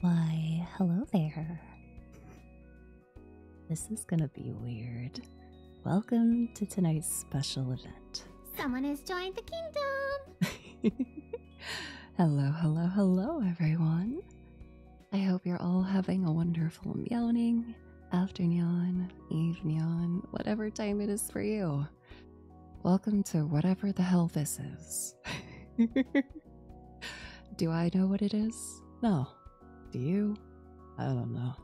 Why, hello there. This is gonna be weird. Welcome to tonight's special event. Someone has joined the kingdom! hello, hello, hello, everyone. I hope you're all having a wonderful meowing, afternoon, evening, whatever time it is for you. Welcome to whatever the hell this is. Do I know what it is? No. Do you? I don't know.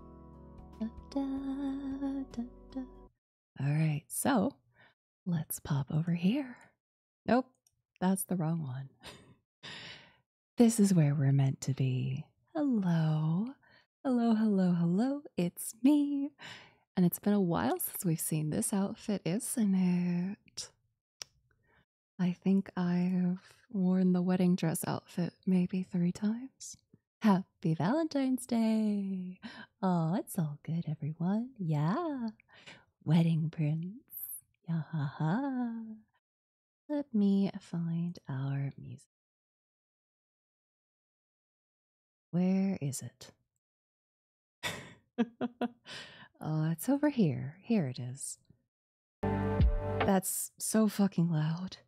All right, so let's pop over here. Nope, that's the wrong one. this is where we're meant to be. Hello. Hello, hello, hello. It's me, and it's been a while since we've seen this outfit, isn't it? I think I've worn the wedding dress outfit maybe three times. Happy Valentine's Day! Oh, it's all good, everyone. Yeah. Wedding prince. Yeah. Ha, ha. Let me find our music. Where is it? oh, it's over here. Here it is. That's so fucking loud.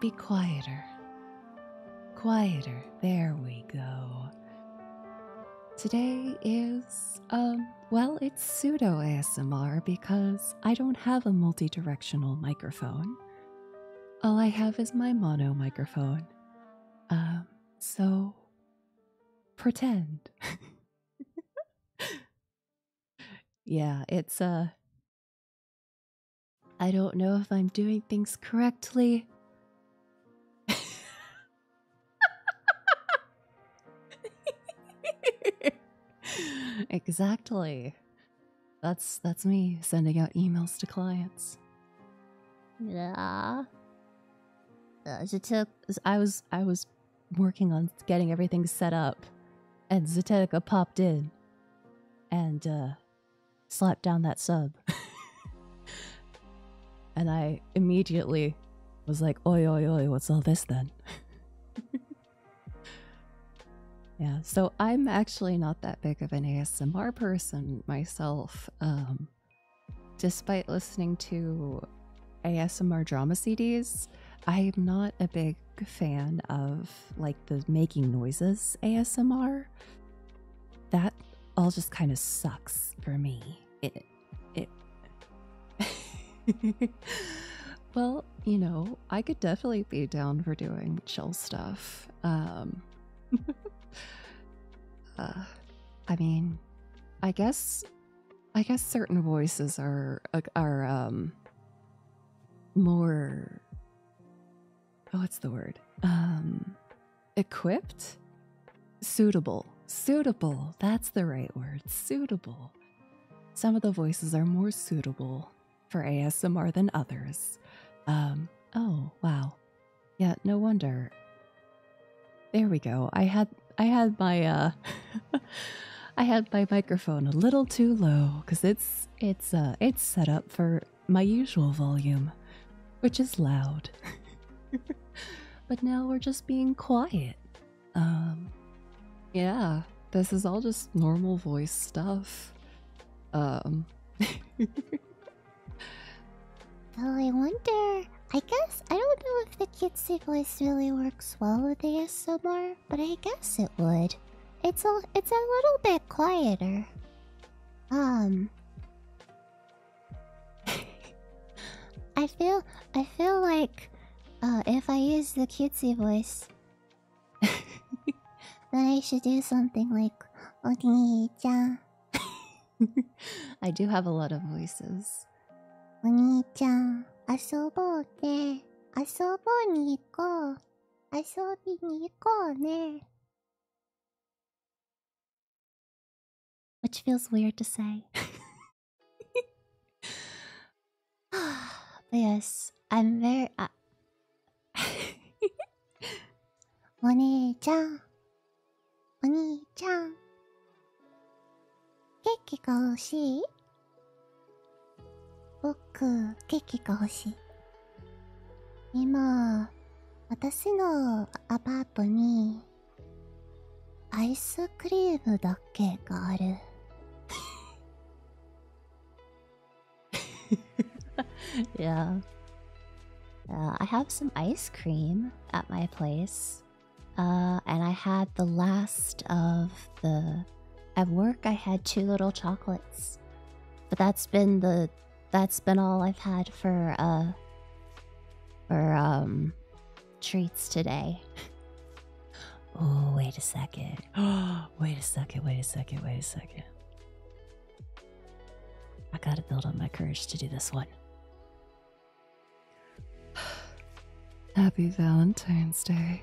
Be, quieter. Quieter. There we go. Today is, um, well, it's pseudo ASMR because I don't have a multi directional microphone. All I have is my mono microphone. Um, so pretend. yeah, it's uh I don't know if I'm doing things correctly. exactly. That's that's me sending out emails to clients. Yeah. Uh, I was I was working on getting everything set up, and Zatetica popped in, and uh, slapped down that sub, and I immediately was like, "Oi, oi, oi! What's all this then?" yeah. So I'm actually not that big of an ASMR person and myself, um, despite listening to ASMR drama CDs, I'm not a big fan of like the making noises ASMR. That all just kind of sucks for me. It, it. well, you know, I could definitely be down for doing chill stuff. Um, uh, I mean, I guess, I guess certain voices are uh, are um more. Oh, what's the word? Um, equipped, suitable, suitable. That's the right word. Suitable. Some of the voices are more suitable for ASMR than others. Um, oh, wow. Yeah, no wonder. There we go. I had I had my uh, I had my microphone a little too low cuz it's it's uh, it's set up for my usual volume, which is loud. but now we're just being quiet. Um, yeah, this is all just normal voice stuff. Um, Though I wonder, I guess I don't know if the kitsy voice really works well with ASMR, but I guess it would. It's a it's a little bit quieter. Um I feel I feel like uh, if I use the cutesy voice, then I should do something like "Oni-chan, oh, I do have a lot of voices. Oni-chan, asobo ne. Asobi ni iko ne. Which feels weird to say. yes, I'm very. お姉ちゃん。お兄ちゃん。ケーキが欲しい僕、ケーキが欲しい。今、私のアパートに、アイスクリームだけがある。yeah. Uh, I have some ice cream at my place. Uh, and I had the last of the. At work, I had two little chocolates. But that's been the. That's been all I've had for, uh. For, um. Treats today. oh, wait a second. wait a second, wait a second, wait a second. I gotta build up my courage to do this one. Happy Valentine's Day.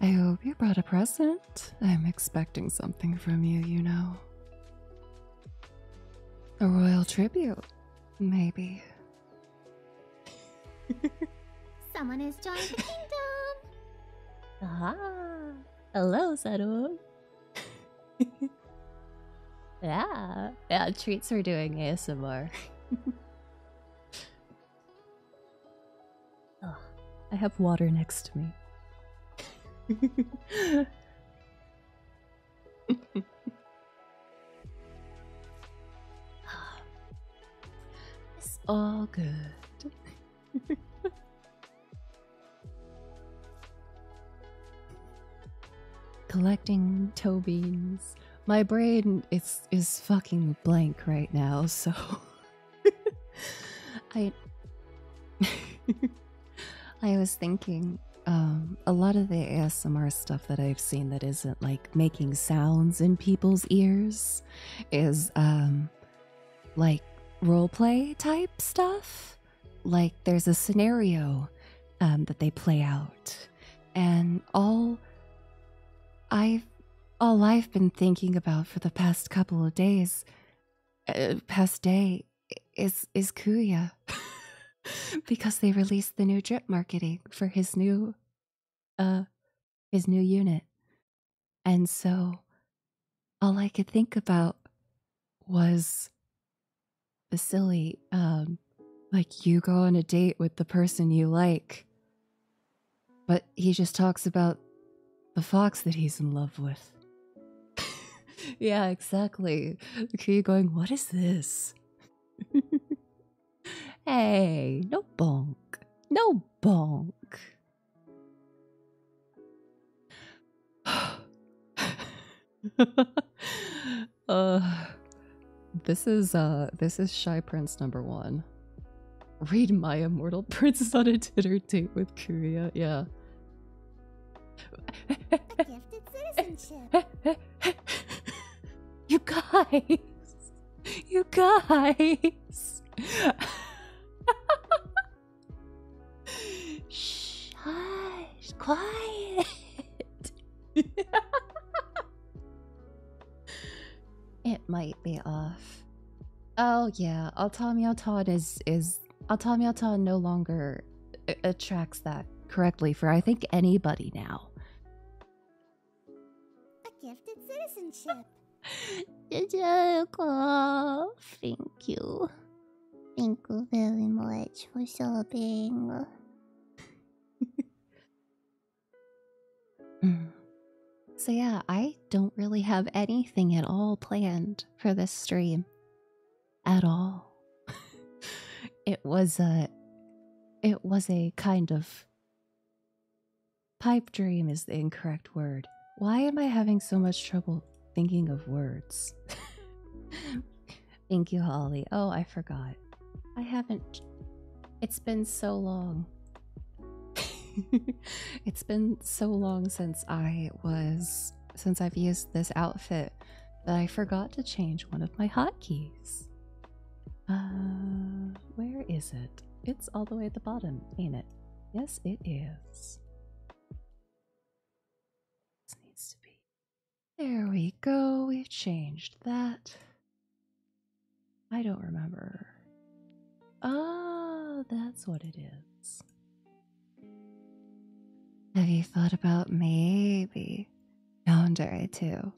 I hope you brought a present. I'm expecting something from you, you know. A royal tribute, maybe. Someone has joined the kingdom! Ah, hello, Saru. yeah. Yeah, treats for doing ASMR. I have water next to me. it's all good. Collecting toe beans. My brain is is fucking blank right now, so I I was thinking um, a lot of the ASMR stuff that I've seen that isn't like making sounds in people's ears is um, like role play type stuff like there's a scenario um, that they play out, and all I've all I've been thinking about for the past couple of days, uh, past day, is is Kuya, because they released the new drip marketing for his new, uh, his new unit, and so all I could think about was the silly, um, like you go on a date with the person you like, but he just talks about the fox that he's in love with. yeah, exactly. You're going, what is this? hey, no bonk. No bonk. Uh, this is uh, this is shy prince number one. Read my immortal princess on a dinner date with Korea. Yeah. you guys, you guys. Shh, quiet. it might be off. Oh yeah, Altamiaton is is Altamiaton no longer uh, attracts that correctly for I think anybody now. A gifted citizenship. Did you cool Thank you. Thank you very much for shopping. so, yeah, I don't really have anything at all planned for this stream. At all. it was a. It was a kind of. Pipe dream is the incorrect word. Why am I having so much trouble thinking of words? Thank you, Holly. Oh, I forgot. I haven't. It's been so long. it's been so long since I was. Since I've used this outfit but I forgot to change one of my hotkeys. Uh, where is it? It's all the way at the bottom, ain't it? Yes, it is. There we go. We've changed that. I don't remember. Oh, that's what it is. Have you thought about maybe yandere too?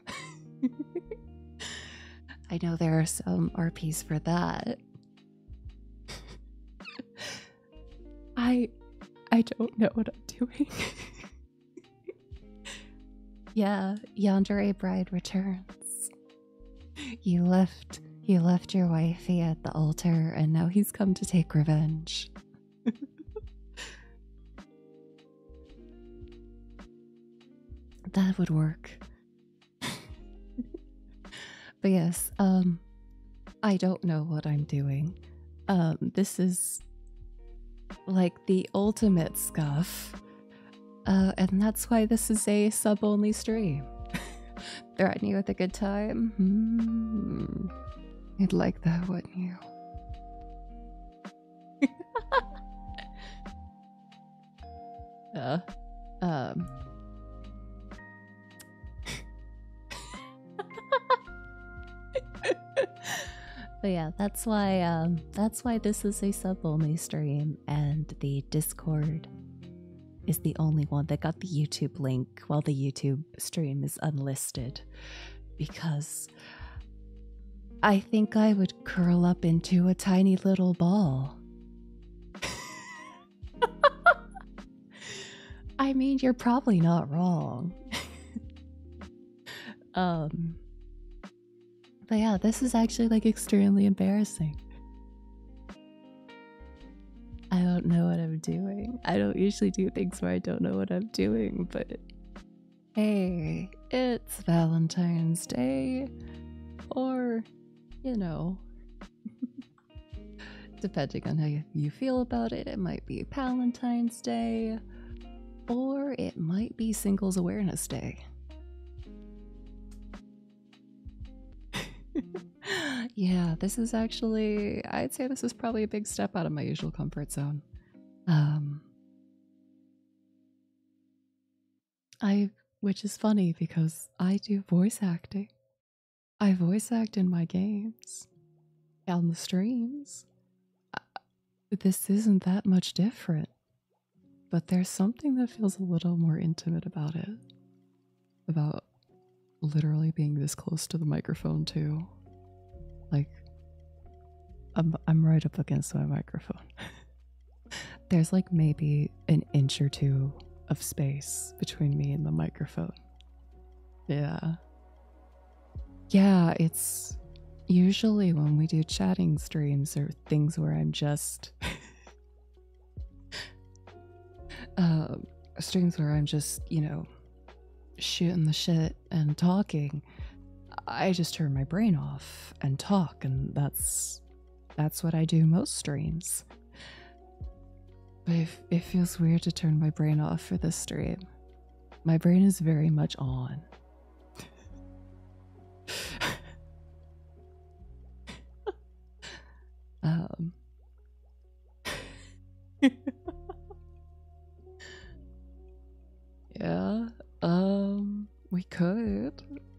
I know there are some RPs for that. I I don't know what I'm doing. yeah, yonder a Bride returns. You left you left your wifey at the altar and now he's come to take revenge. that would work. But yes, um, I don't know what I'm doing. Um, this is like the ultimate scuff. Uh, and that's why this is a sub only stream. Threatening you with a good time? Hmm. You'd like that, wouldn't you? uh, um but yeah, that's why um, that's why this is a sub only stream, and the Discord is the only one that got the YouTube link, while the YouTube stream is unlisted, because I think I would curl up into a tiny little ball. I mean, you're probably not wrong. um, but yeah, this is actually like extremely embarrassing. I don't know what I'm doing. I don't usually do things where I don't know what I'm doing, but hey, it's Valentine's Day. Or, you know. Depending on how you feel about it, it might be Valentine's Day, or it might be Singles Awareness Day. yeah, this is actually, I'd say this is probably a big step out of my usual comfort zone. Um, I, which is funny because I do voice acting I voice act in my games, on the streams. Uh, this isn't that much different, but there's something that feels a little more intimate about it. About literally being this close to the microphone, too. Like, I'm right up against my microphone. there's like maybe an inch or two of space between me and the microphone. Yeah, yeah, it's usually when we do chatting streams or things where I'm just. Um, streams where I'm just, you know, shooting the shit and talking. I just turn my brain off and talk, and that's. That's what I do most streams. But it, feels weird to turn my brain off for this stream. My brain is very much on. um. yeah. Um. We could.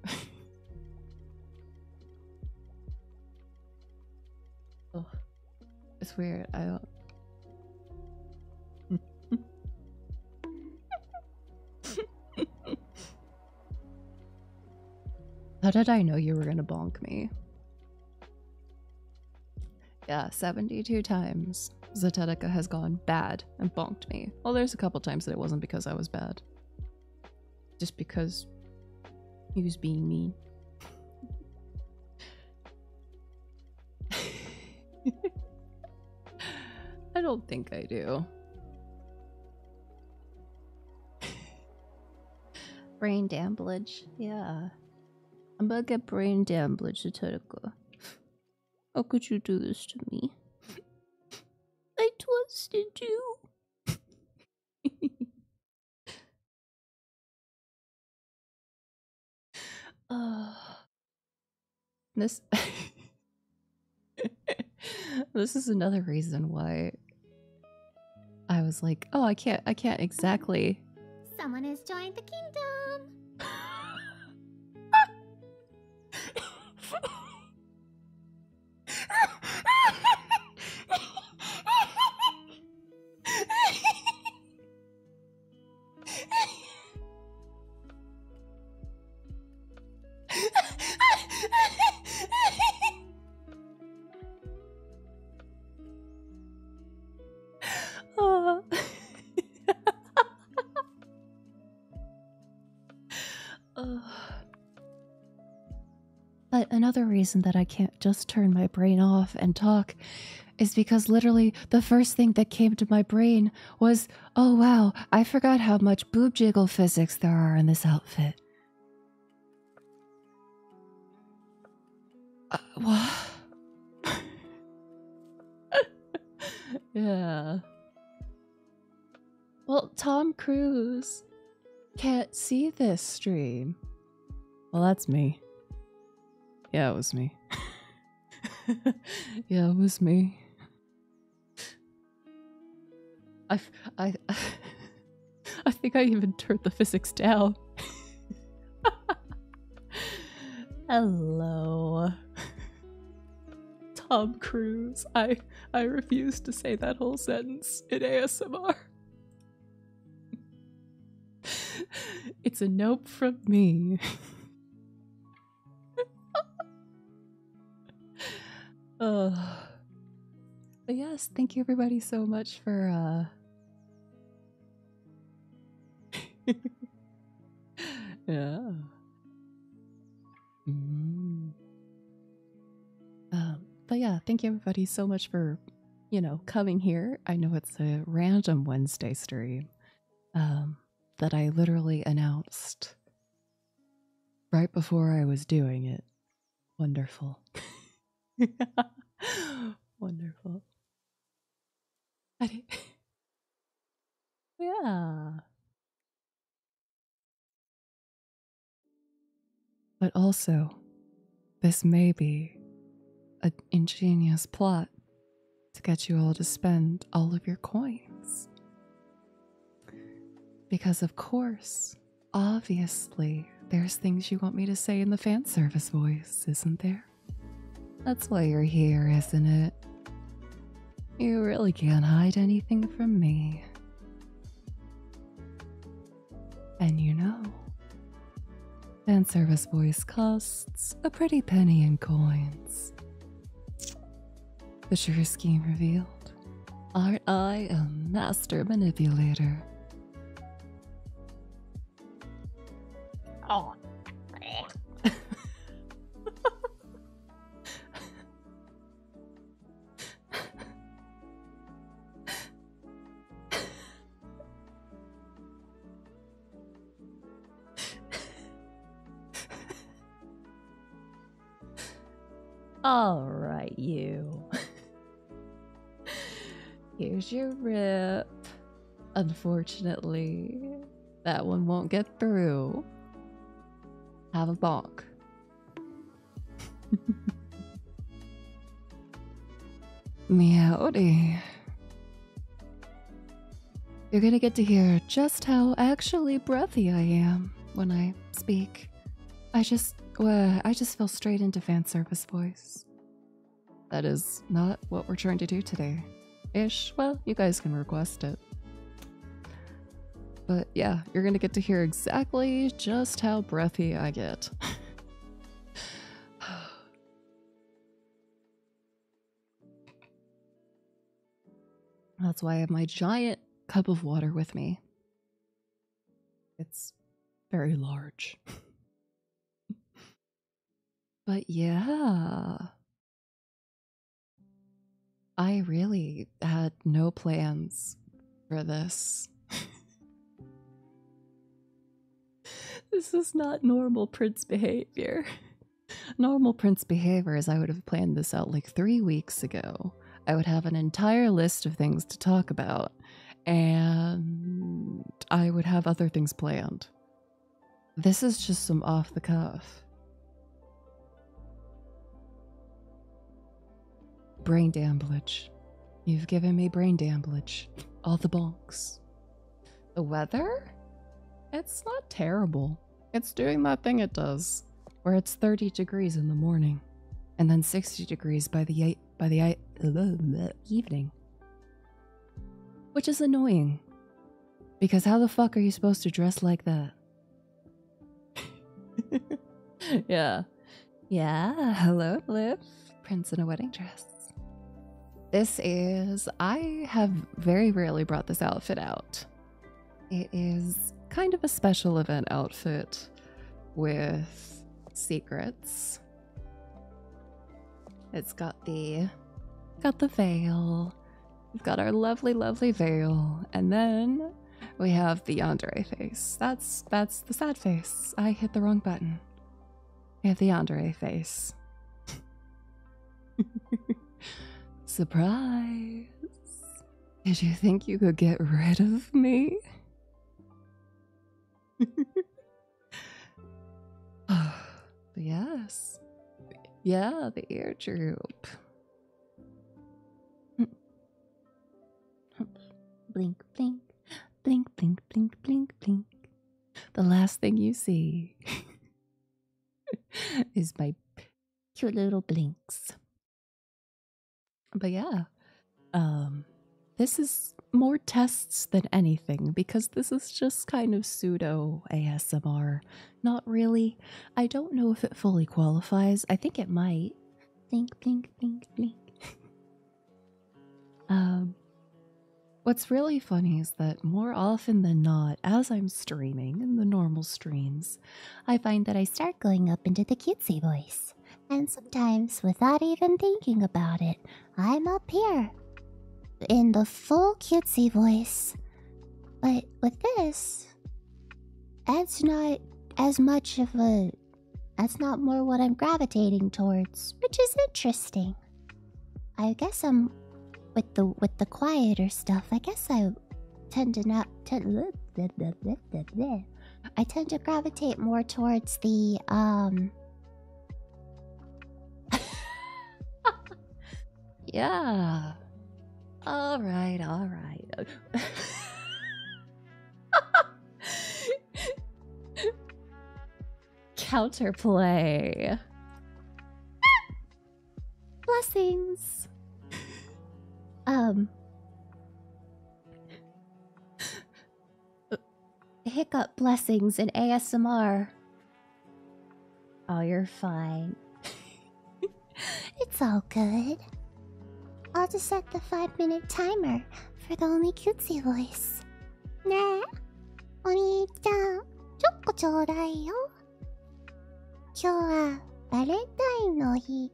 It's weird. I don't. How did I know you were gonna bonk me? Yeah, 72 times Zetetica has gone bad and bonked me. Well, there's a couple times that it wasn't because I was bad. Just because he was being mean. I don't think I do. brain damblage, yeah. I'm gonna get brain damblage damage, Satodoko. How could you do this to me? I twisted you. Uh, this this is another reason why I was like, oh, I can't, I can't exactly. Someone has joined the kingdom. oh. But another reason that I can't just turn my brain off and talk is because literally the first thing that came to my brain was, oh wow, I forgot how much boob jiggle physics there are in this outfit. Uh, what? yeah. Well, Tom Cruise can't see this stream well, that's me. Yeah, it was me. yeah, it was me. I, I, I think I even turned the physics down. Hello. Tom Cruise. I I refuse to say that whole sentence in ASMR it's a nope from me. Oh, but yes, thank you everybody so much for uh Yeah. Mm-hmm. Um, but yeah, thank you everybody so much for you know, coming here. I know it's a random Wednesday stream um, that I literally announced right before I was doing it. Wonderful. Wonderful. yeah. But also, this may be an ingenious plot to get you all to spend all of your coins. Because, of course, obviously, there's things you want me to say in the fan service voice, isn't there? That's why you're here, isn't it? You really can't hide anything from me. And you know, Fan service voice costs a pretty penny in coins. The sugar scheme revealed. Aren't I a master manipulator? Oh. All right, you. Here's your rip. Unfortunately, that one won't get through. Have a bark. Meowdy. You're gonna get to hear just how actually breathy I am when I speak. I just, I just fell straight into fan service voice. That is not what we're trying to do today. Ish. Well, you guys can request it. But yeah, you're gonna get to hear exactly just how breathy I get. That's why I have my giant cup of water with me. It's very large. but yeah. I really had no plans for this. this is not normal prince behavior. Normal prince behavior is I would have planned this out like three weeks ago. I would have an entire list of things to talk about, and I would have other things planned. This is just some off the cuff. Brain damblage. You've given me brain damblage. All the bonks. The weather? It's not terrible. It's doing that thing it does, where it's 30 degrees in the morning and then 60 degrees by the by the evening. Which is annoying. Because how the fuck are you supposed to dress like that? yeah. Yeah, hello, Liv. Prince in a wedding dress. This is, I have very rarely brought this outfit out. It is kind of a special event outfit with secrets. It's got the got the veil. We've got our lovely, lovely veil, and then we have the yandere face. That's that's the sad face. I hit the wrong button. I have the Andre face. Surprise! Did you think you could get rid of me? Oh, yes. Yeah, the ear droop. blink, blink, blink, blink, blink, blink, blink the last thing you see is my cute little blinks. But yeah, um, this is more tests than anything because this is just kind of pseudo ASMR. Not really. I don't know if it fully qualifies. I think it might. Blink, blink, blink, blink. um, What's really funny is that more often than not, as I'm streaming the normal streams, I find that I start going up into the cutesy voice. And sometimes, without even thinking about it, I'm up here in the full cutesy voice. But with this, that's not as much of a. That's not more what I'm gravitating towards, which is interesting. I guess I'm with the with the quieter stuff. I guess I tend to not tend. I tend to gravitate more towards the um. yeah. All right. All right. Counterplay. Blessings. Um. Hiccup blessings and ASMR. Oh, you're fine. it's all good. I'll just set the five minute timer for the only cutesy voice. ねえ、お兄ちゃん、チョコちょうだいよ。今日はバレンタインの日。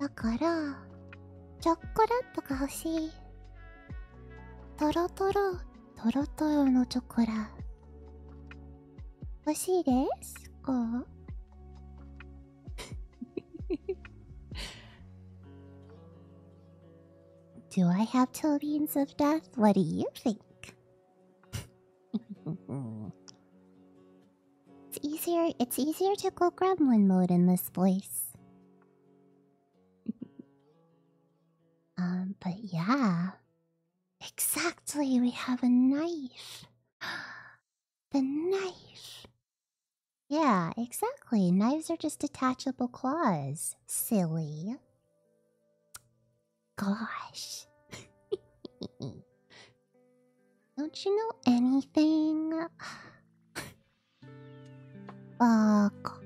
だから、チョコラットが欲しい。とろとろ、とろとろのチョコラ。欲しいですか Do I have till the ends of death? What do you think? it's easier it's easier to go gremlin mode in this place. um, but yeah. Exactly, we have a knife. the knife. Yeah, exactly. Knives are just detachable claws. Silly. Gosh. Don't you know anything? Fuck.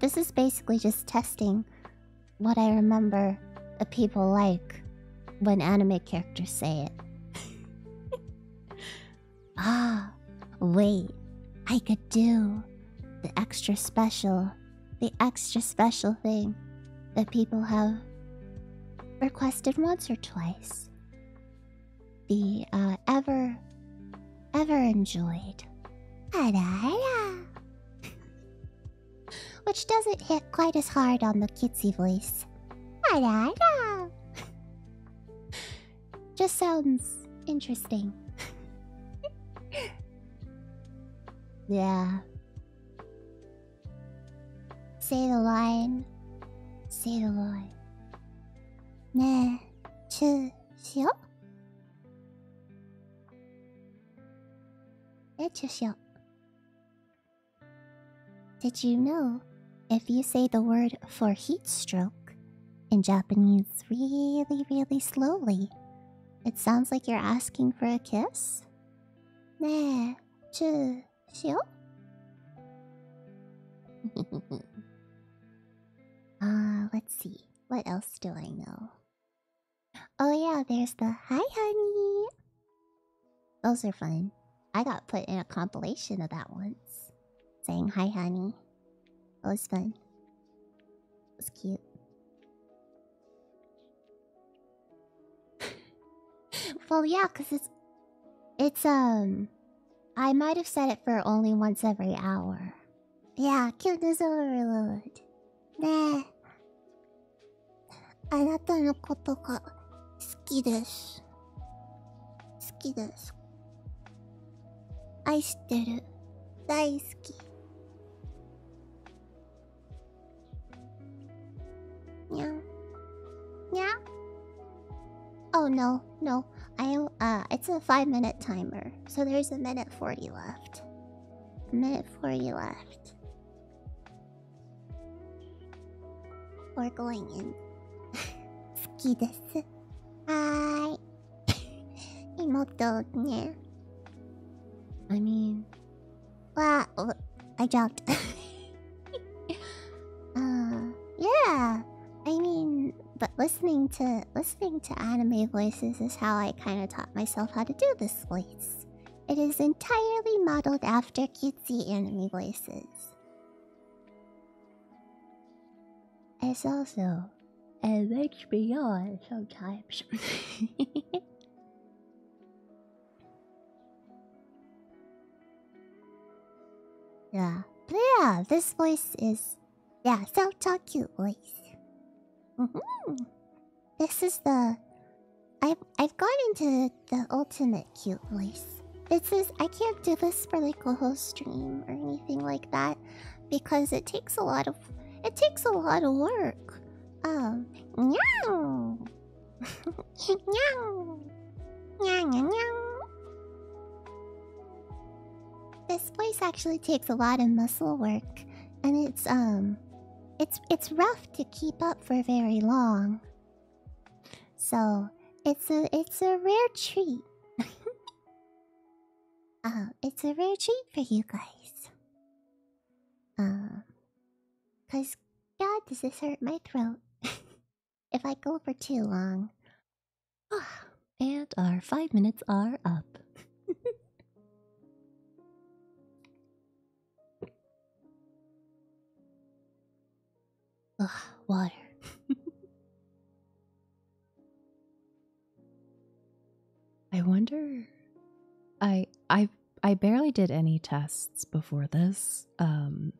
This is basically just testing what I remember that people like when anime characters say it. ah, Wait, I could do the extra special, the extra special thing that people have requested once or twice. The uh, ever, ever enjoyed. Which doesn't hit quite as hard on the cutesy voice. Just sounds interesting. yeah. Say the line. Say the line. 네, 주시오. 네, 주시오. Did you know if you say the word for heat stroke in Japanese, really, really slowly. It sounds like you're asking for a kiss. 네, 주시오. Ah, uh, let's see. What else do I know? Oh yeah, there's the hi honey. Those are fun. I got put in a compilation of that once, saying hi honey. Oh, that was fun. It was cute. well, yeah, because it's. It's, um. I might have said it for only once every hour. Yeah, cuteness overload. Nah. あなたのことが好きです。好きです。I'm 愛してる大好きにゃにゃ Oh no, no. I uh it's a 5 minute timer. So there's a minute 40 left. A minute 40 left. We're going in. Emote, yeah. I mean, well, I jumped. uh, yeah. I mean, but listening to listening to anime voices is how I kind of taught myself how to do this voice. It is entirely modeled after cutesy anime voices. It's also an HBO sometimes. yeah, but yeah, this voice is yeah, so talk cute voice. Mm-hmm. This is the I've I've gone into the ultimate cute voice. It says I can't do this for like a whole stream or anything like that because it takes a lot of it takes a lot of work. Um meow. meow. Meow, meow, meow. This place actually takes a lot of muscle work and it's um it's it's rough to keep up for very long. So, it's a it's a rare treat. Oh, it's a rare treat for you guys. Um, cause God, does this hurt my throat? if I go for too long. Ah, and our five minutes are up. Ugh, ah, water. I wonder I I I barely did any tests before this. Um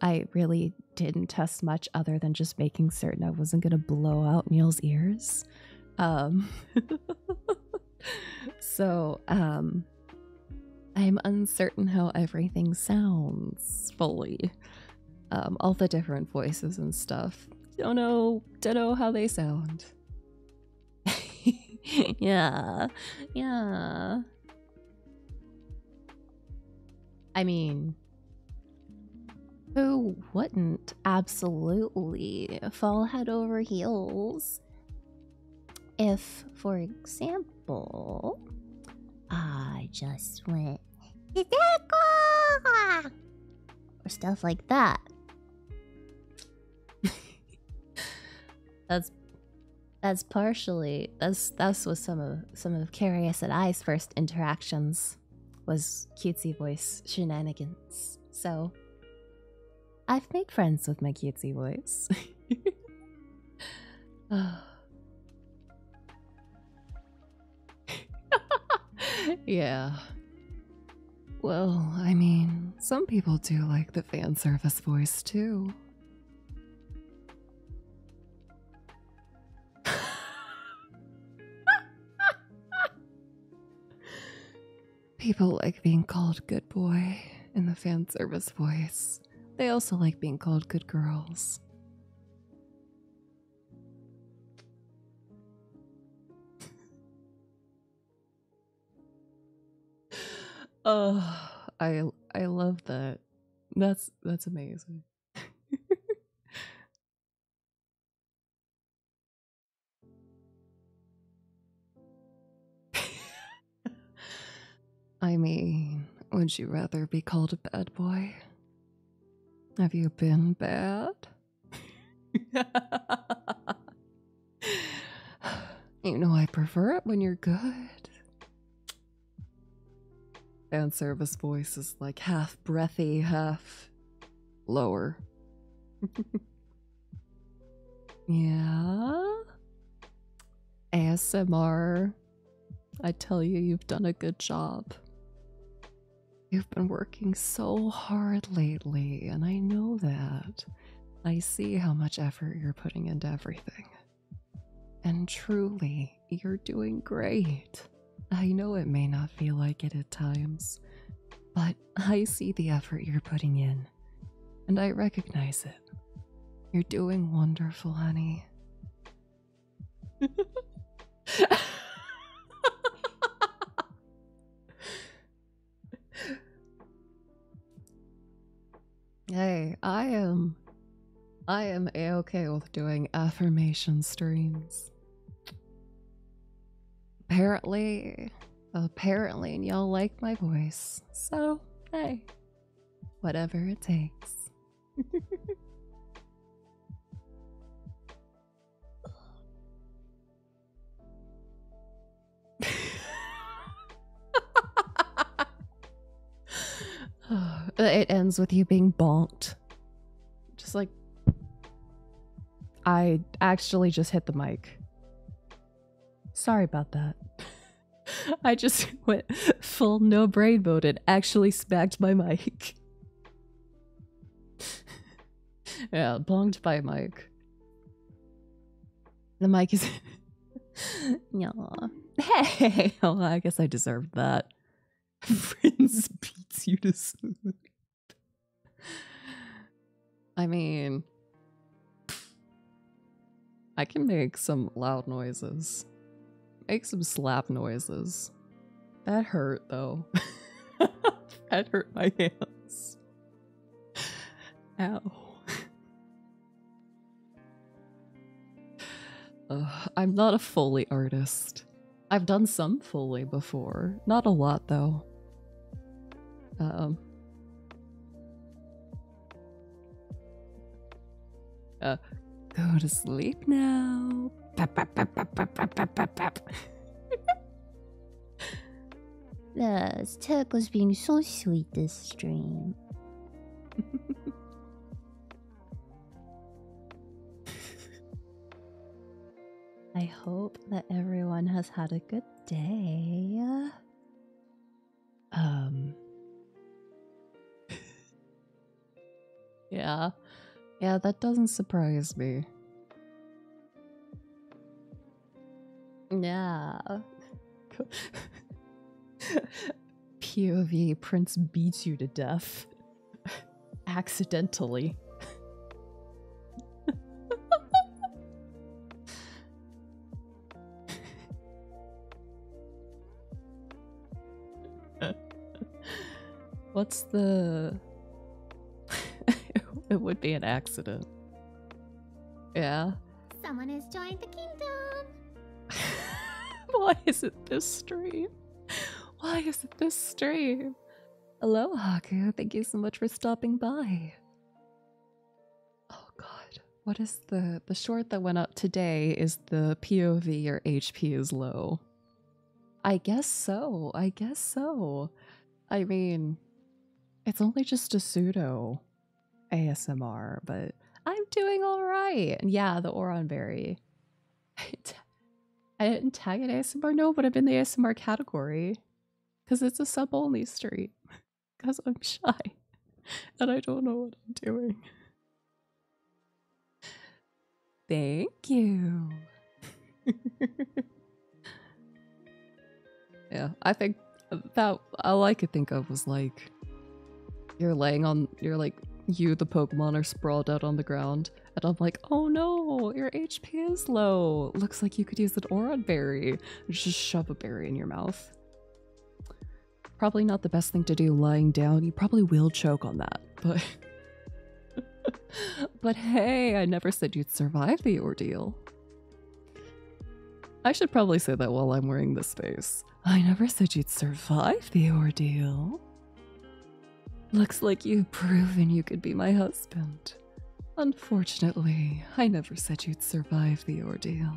I really didn't test much other than just making certain I wasn't going to blow out Neil's ears. Um So, um I'm uncertain how everything sounds fully. Um all the different voices and stuff. Don't know, don't know how they sound. yeah, yeah. I mean, who wouldn't absolutely fall head over heels if, for example, I just went or stuff like that. that's that's partially that's that's was some of some of Carius and I's first interactions was cutesy voice shenanigans. So I've made friends with my cutesy voice. yeah. Well, I mean, some people do like the fan service voice too. People like being called good boy in the fan service voice. They also like being called good girls oh, I I love that. That's that's amazing. I mean, would you rather be called a bad boy? Have you been bad? you know, I prefer it when you're good. Fan service voice is like half breathy, half lower. yeah. ASMR. I tell you, you've done a good job. You've been working so hard lately, and I know that. I see how much effort you're putting into everything. And truly, you're doing great. I know it may not feel like it at times, but I see the effort you're putting in, and I recognize it. You're doing wonderful, honey. hey, I am. I am a okay with doing affirmation streams. Apparently, apparently, and y'all like my voice, so hey, whatever it takes. it ends with you being bonked. Just like I actually just hit the mic. Sorry about that. I just went full no brain mode and actually smacked my mic. yeah, blonked by Mike. The mic is. yeah. Hey, I guess I deserved that. Friends beats you to sleep. I mean, I can make some loud noises. Make some slap noises. That hurt though. that hurt my hands. Ow. I'm not a Foley artist. I've done some Foley before. Not a lot, though. Um. Uh, go to sleep now. uh, Tech was being so sweet this stream. I hope that everyone has had a good day. Um. yeah. Yeah, that doesn't surprise me. Yeah. POV Prince beats you to death. Accidentally. What's the it would be an accident. Yeah. Someone has joined the kingdom. Why is it this stream? Why is it this stream? Hello, Haku. Thank you so much for stopping by. Oh god. What is the the short that went up today is the POV your HP is low. I guess so. I guess so. I mean, it's only just a pseudo ASMR, but I'm doing all right. And yeah, the Oron Berry. I didn't tag it ASMR, no, but I'm in the ASMR category because it's a sub only stream because I'm shy and I don't know what I'm doing. Thank you. yeah, I think that all I could think of was like you're laying on you're like you the Pokemon are sprawled out on the ground, and I'm like, oh no, your HP is low. Looks like you could use an Oron berry. Just shove a berry in your mouth. Probably not the best thing to do lying down. You probably will choke on that, but but hey, I never said you'd survive the ordeal. I should probably say that while I'm wearing this face. I never said you'd survive the ordeal. Looks like you've proven you could be my husband. Unfortunately, I never said you'd survive the ordeal.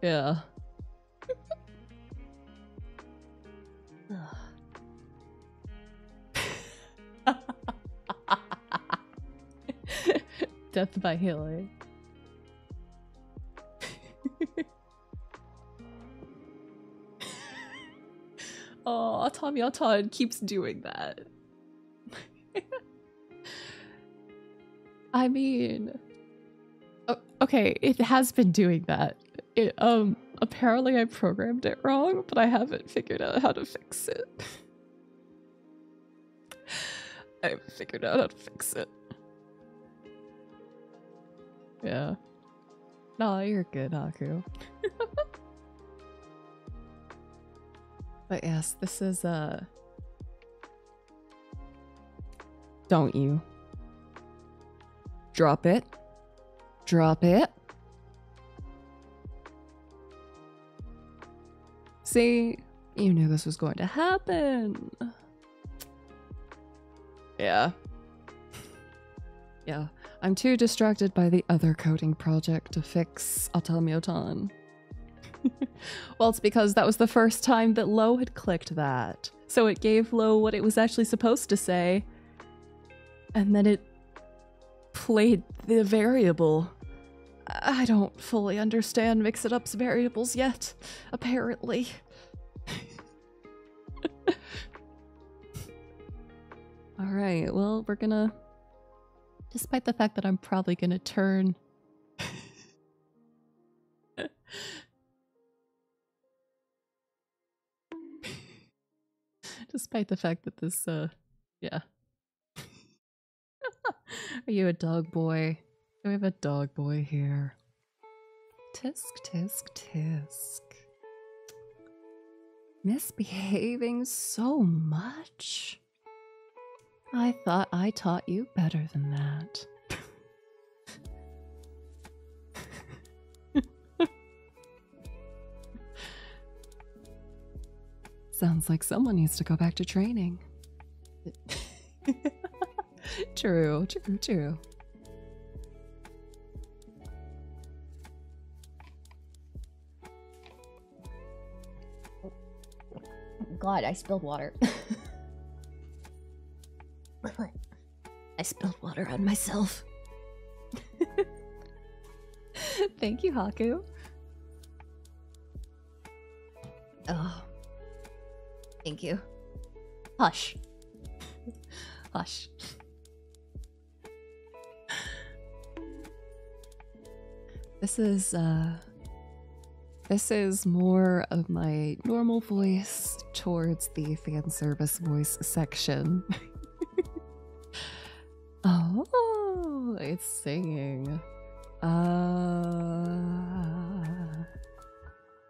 yeah. Death by healing. oh, Tommy Otan keeps doing that. I mean, okay, it has been doing that. It, um, apparently I programmed it wrong, but I haven't figured out how to fix it. I have figured out how to fix it. Yeah. No, you're good, Haku. but yes, this is, a. Uh, don't you. Drop it. Drop it. See, you knew this was going to happen. Yeah. yeah, I'm too distracted by the other coding project to fix Atalmiotan. well, it's because that was the first time that Lo had clicked that. So it gave Lo what it was actually supposed to say. And then it played the variable. I don't fully understand Mix It Up's variables yet, apparently. Alright, well, we're gonna. Despite the fact that I'm probably gonna turn. Despite the fact that this uh, yeah. Are you a dog boy? We have a dog boy here. Tisk, tisk, tisk. Misbehaving so much? I thought I taught you better than that. Sounds like someone needs to go back to training. true, true, true. God, I spilled water. I spilled water on myself. Thank you, Haku. Oh. Thank you. Hush. Hush. This is, uh, this is more of my normal voice towards the fan service voice section. Oh, it's singing. Uh,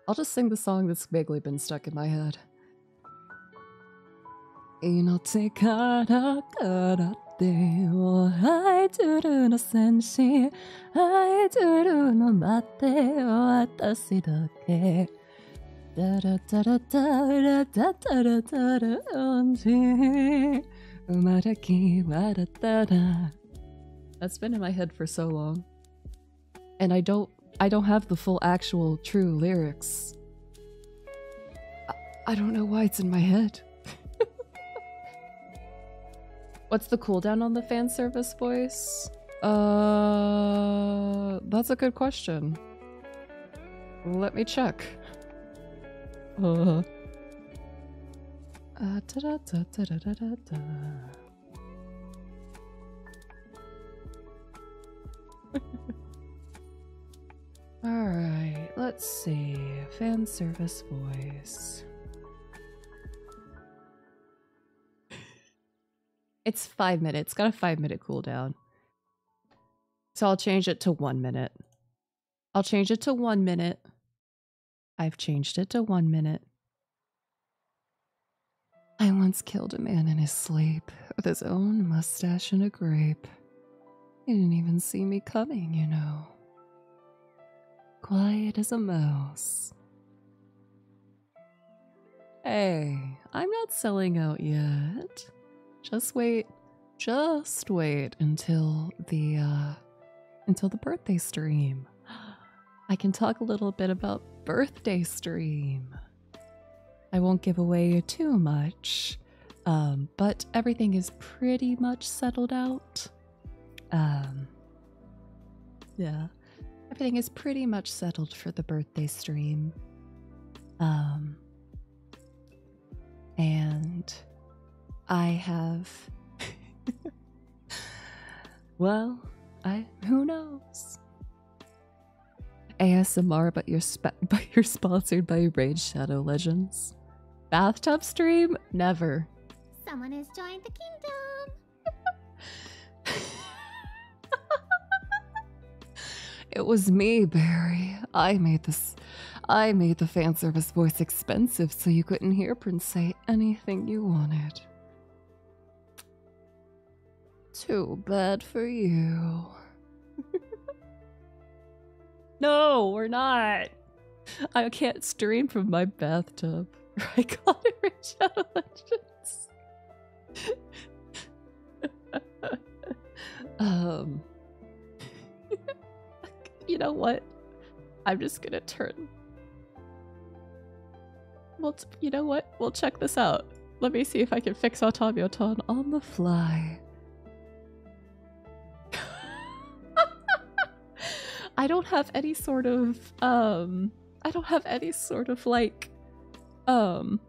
I'll just sing the song that's vaguely been stuck in my head. 命からからってを愛するの戦士愛するの待って私だけダラダラ that's been in my head for so long. And I don't I don't have the full actual true lyrics. I, don't know why it's in my head. What's the cooldown on the fan service voice? Uh that's a good question. Let me check. Uh, All right, let's see. Fan service voice. It's five minutes. got a five minute cooldown. So I'll change it to one minute. I'll change it to one minute. I've changed it to one minute. I once killed a man in his sleep with his own mustache and a grape. He didn't even see me coming, you know. Quiet as a mouse. Hey, I'm not selling out yet. Just wait just wait until the uh, until the birthday stream. I can talk a little bit about birthday stream. I won't give away too much, um, but everything is pretty much settled out. Um, yeah, everything is pretty much settled for the birthday stream. Um, and I have. well, I who knows? ASMR, but you're but you're sponsored by Rage Shadow Legends. Bathtub stream? Never. Someone has joined the kingdom. it was me, Barry. I made the I made the fan service voice expensive so you couldn't hear Prince say anything you wanted. Too bad for you. no, we're not. I can't stream from my bathtub. I got it from um. you know what? I'm just gonna turn. Well, you know what? We'll check this out. Let me see if I can fix automaton on the fly. I don't have any sort of, um, I don't have any sort of like, um,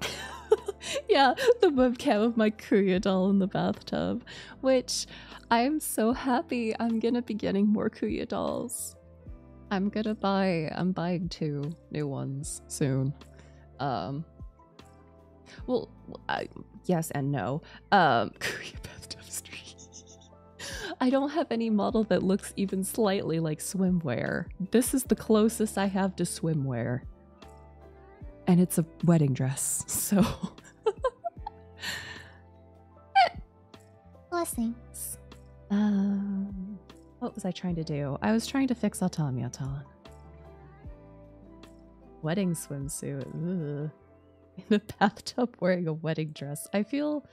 yeah, the webcam of my Kuya doll in the bathtub, which I'm so happy I'm gonna be getting more Kuya dolls. I'm gonna buy, I'm buying two new ones soon. Um, well, yes and no. Um, bathtub I don't have any model that looks even slightly like swimwear. This is the closest I have to swimwear. And it's a wedding dress, so. Blessings. Um, what was I trying to do? I was trying to fix Autonomy Autonomy. Wedding swimsuit. In the bathtub wearing a wedding dress. I feel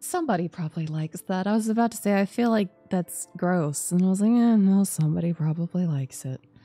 somebody probably likes that. I was about to say, I feel like that's gross. And I was like, yeah, no, somebody probably likes it.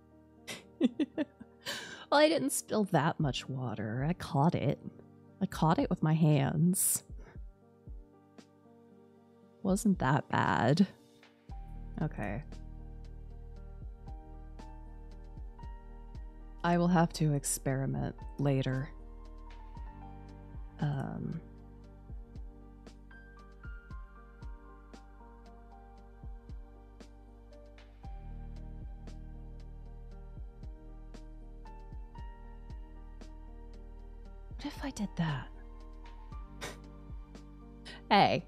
well, I didn't spill that much water. I caught it. I caught it with my hands. Wasn't that bad. Okay. I will have to experiment later. Um, what if I did that? hey.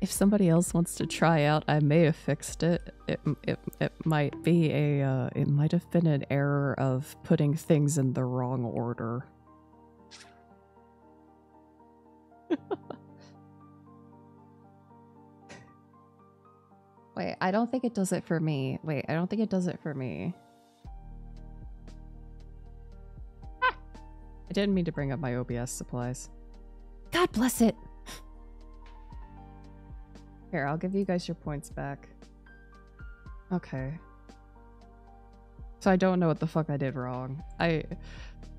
if somebody else wants to try out, I may have fixed it. It it, it might be a uh, it might have been an error of putting things in the wrong order. Wait, I don't think it does it for me. Wait, I don't think it does it for me. I didn't mean to bring up my OBS supplies. God bless it! Here, I'll give you guys your points back. Okay. So I don't know what the fuck I did wrong. I,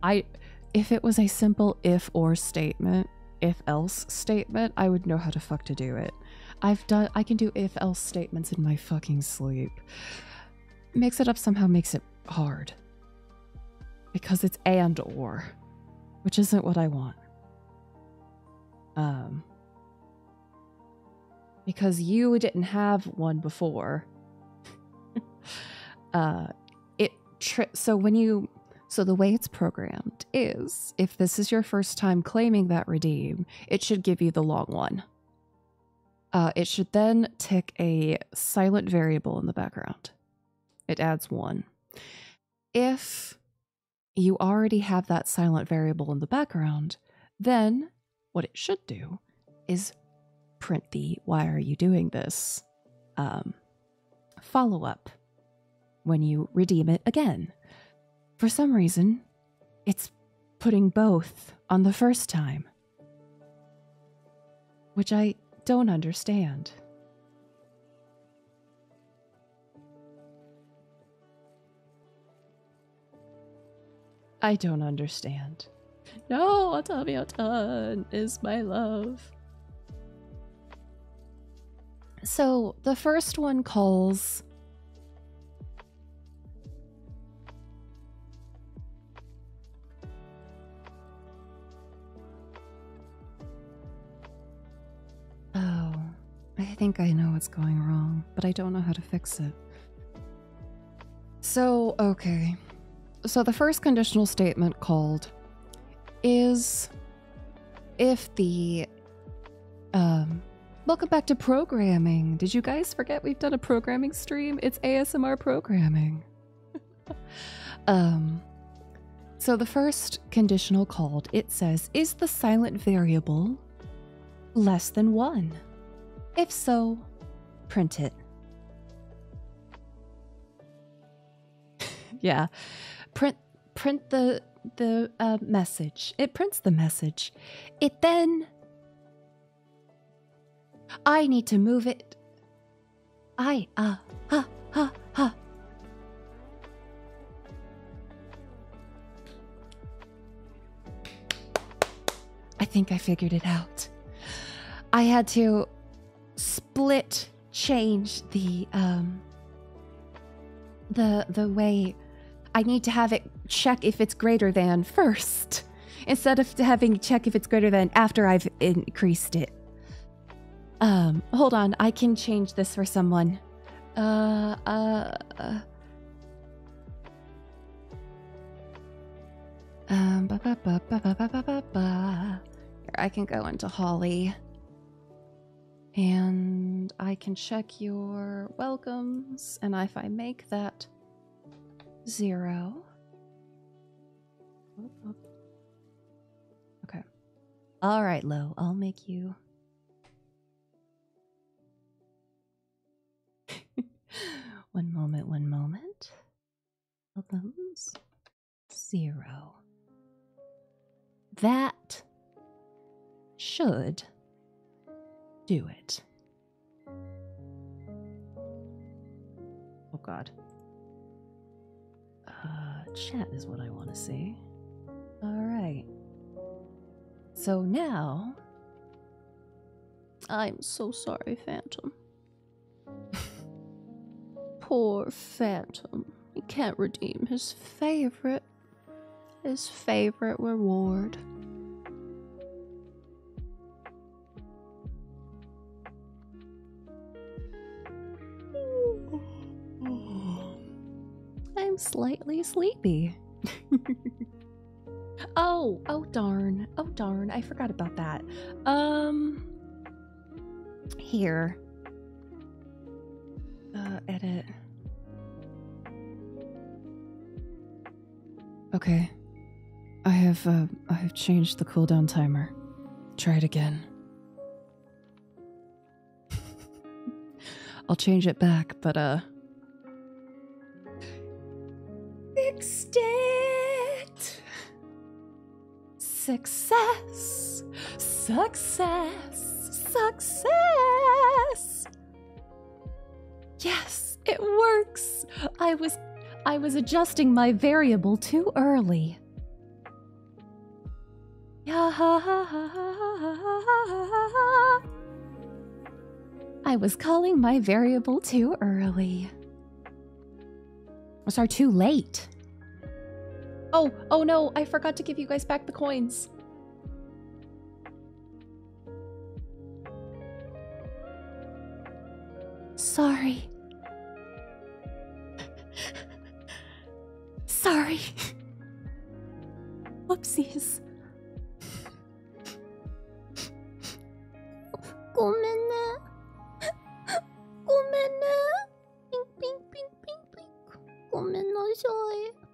I, if it was a simple if or statement, if else statement, I would know how to fuck to do it. I've done, I can do if else statements in my fucking sleep. Mix it up somehow makes it hard. Because it's and or, which isn't what I want. Um, because you didn't have one before. uh, it tri- so when you so the way it's programmed is if this is your first time claiming that redeem, it should give you the long one. Uh, it should then tick a silent variable in the background. It adds one. If you already have that silent variable in the background, then what it should do is print the why are you doing this um, follow up when you redeem it again. For some reason, it's putting both on the first time, which I don't understand. I don't understand. No, Otami Otan is my love. So the first one calls. Oh, I think I know what's going wrong, but I don't know how to fix it. So, okay. So the first conditional statement called is if the um welcome back to programming. Did you guys forget we've done a programming stream? It's ASMR programming. um so the first conditional called it says is the silent variable less than 1? If so, print it. yeah. Print print the the uh, message. It prints the message. It then I need to move it. I ah ha ha ha. I think I figured it out. I had to split change the um the the way I need to have it check if it's greater than first instead of having check if it's greater than after I've increased it. Um hold on, I can change this for someone. Uh uh, uh. Um, ba -ba -ba -ba -ba -ba -ba -ba. Here, I can go into Holly. And I can check your welcomes, and if I make that zero. Okay. All right, Lo, I'll make you. one moment, one moment of those? Zero. That should do it. Oh god. Uh, chat is what I want to see. Alright. So now. I'm so sorry, Phantom. Poor Phantom. He can't redeem his favorite his favorite reward. I'm slightly sleepy. oh, Oh, darn. Oh darn. I forgot about that. Um here. Uh edit. Okay. I have uh I have changed the cooldown timer. Try it again. I'll change it back, but uh Extend Success! Success! Success! Yes, it works. I was I was adjusting my variable too early. I was calling my variable too early. Those are too late. Oh, oh no, I forgot to give you guys back the coins. Sorry. Sorry. Whoopsies. ごめんねピンピンピンピンピンごめんなさい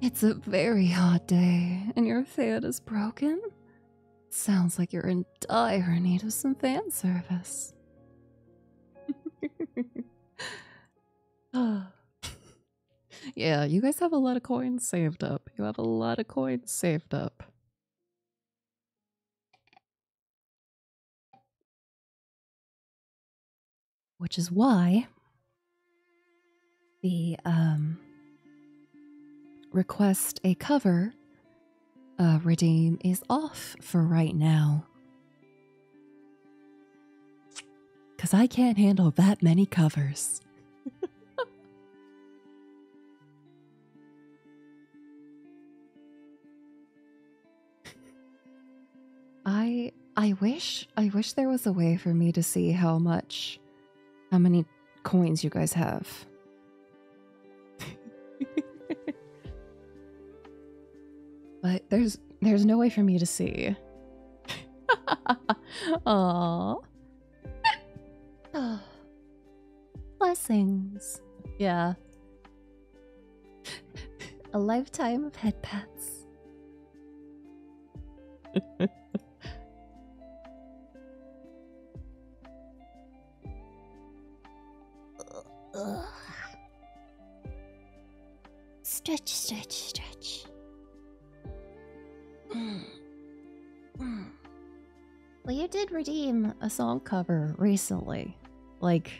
It's a very hot day and your fan is broken? Sounds like you're in dire need of some fan service. yeah, you guys have a lot of coins saved up. You have a lot of coins saved up. Which is why the um, request a cover uh, redeem is off for right now. Because I can't handle that many covers. I I wish I wish there was a way for me to see how much how many coins you guys have. but there's there's no way for me to see. Aww. Blessings. Yeah. A lifetime of head pats. Stretch, stretch, stretch. Hmm. Hmm. Well, you did redeem a song cover recently. Like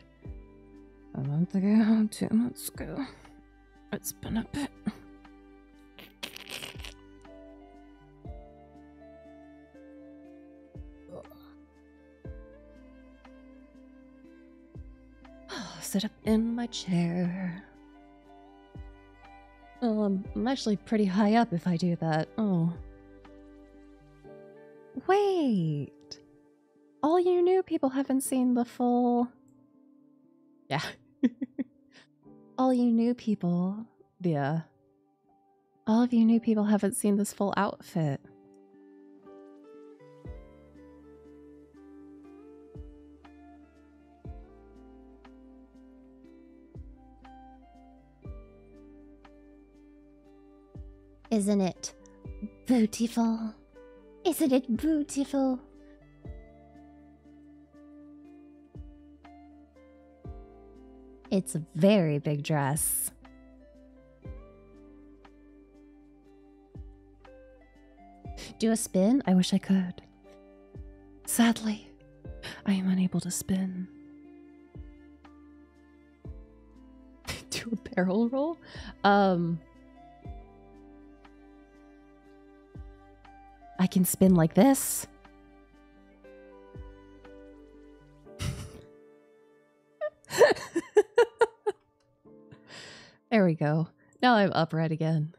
a month ago, two months ago. It's been a bit. Sit up in my chair. Oh, I'm actually pretty high up if I do that. Oh. Wait! All you new people haven't seen the full... Yeah. all you new people... Yeah. All of you new people haven't seen this full outfit. Isn't it beautiful? Isn't it beautiful? It's a very big dress. Do a spin? I wish I could. Sadly, I am unable to spin. Do a barrel roll? Um, I can spin like this. there we go. Now I'm upright again.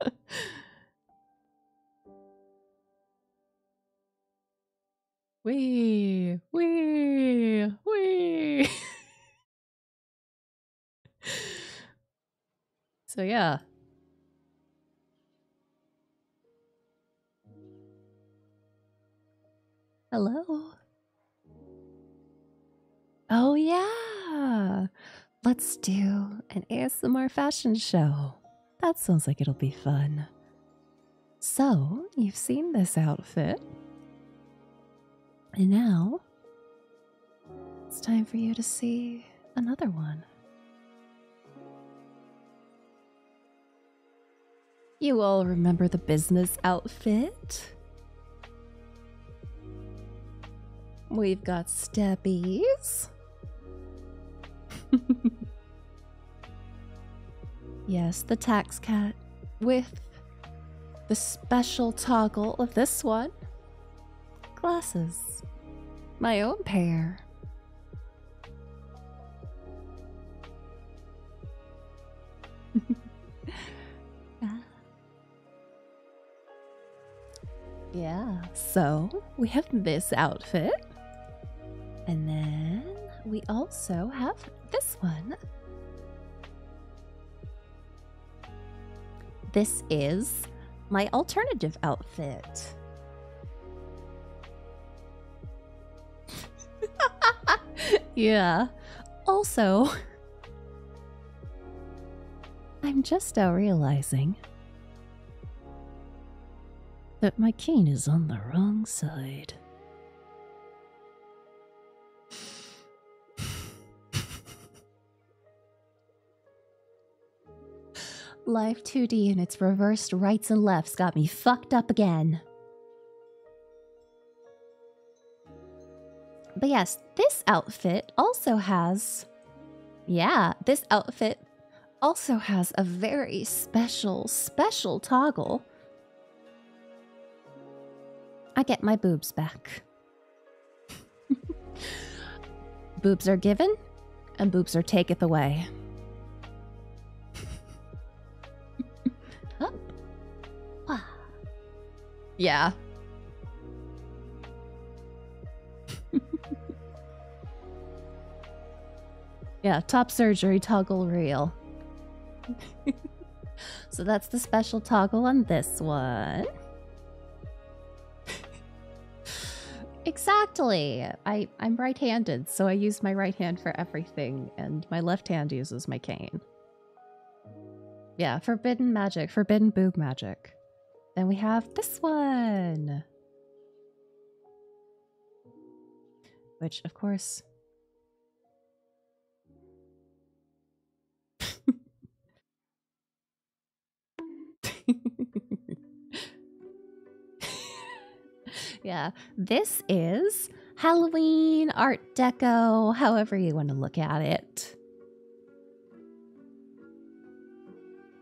Wee, wee, wee. so, yeah. Hello. Oh, yeah. Let's do an ASMR fashion show. That sounds like it'll be fun. So, you've seen this outfit. And now, it's time for you to see another one. You all remember the business outfit? We've got steppies. yes, the tax cat with the special toggle of this one. Glasses. My own pair. Ah. Yeah, so we have this outfit. And then we also have this one. This is my alternative outfit. yeah. Also, I'm just now realizing that my cane is on the wrong side. Life 2D and its reversed rights and lefts got me fucked up again. But yes, this outfit also has. Yeah, this outfit also has a very special, special toggle. I get my boobs back. boobs are given, and boobs are taketh away. Yeah. yeah, top surgery toggle reel. so that's the special toggle on this one. exactly. I, I'm right handed, so I use my right hand for everything, and my left hand uses my cane. Yeah, forbidden magic, forbidden boob magic. Then we have this one. Which, of course. yeah, this is Halloween, Art Deco, however you want to look at it.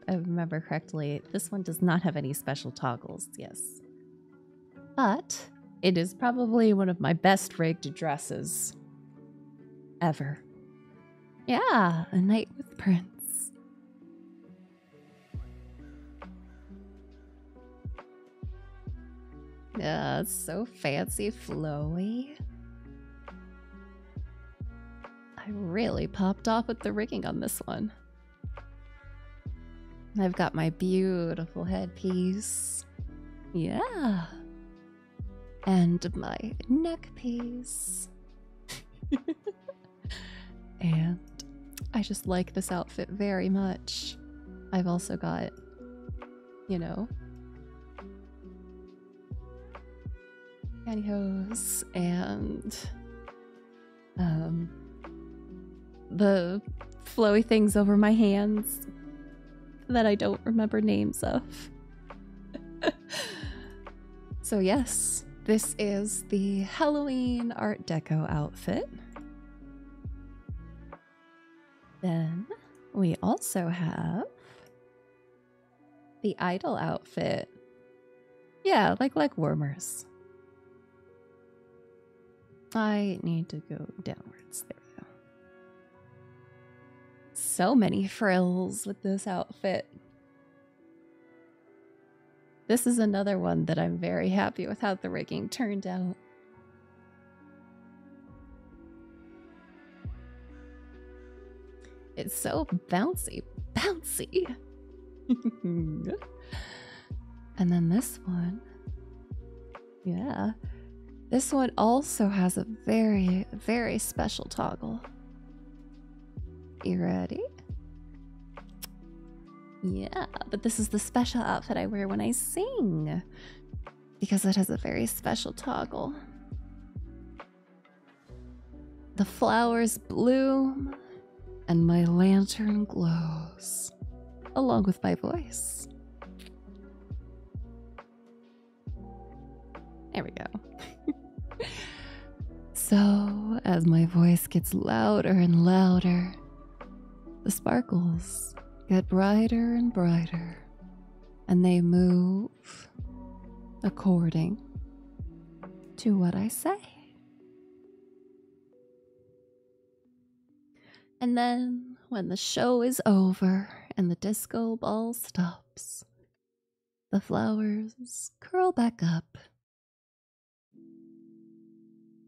I remember correctly, this one does not have any special toggles, yes. But it is probably one of my best rigged dresses ever. Yeah, a night with Prince. Yeah, so fancy flowy. I really popped off with the rigging on this one. I've got my beautiful headpiece. Yeah. And my neckpiece, and I just like this outfit very much. I've also got, you know, pantyhose and um, the flowy things over my hands that I don't remember names of. so, yes, this is the Halloween Art Deco outfit. Then we also have the idol outfit yeah, like like wormers. I need to go downwards. There we go. So many frills with this outfit. This is another one that I'm very happy with how the rigging turned out. It's so bouncy, bouncy. and then this one. Yeah. This one also has a very, very special toggle. You ready? Yeah, but this is the special outfit I wear when I sing because it has a very special toggle. The flowers bloom, and my lantern glows, along with my voice. There we go. so, as my voice gets louder and louder, the sparkles get brighter and brighter, and they move according to what I say. And then, when the show is over and the disco ball stops, the flowers curl back up.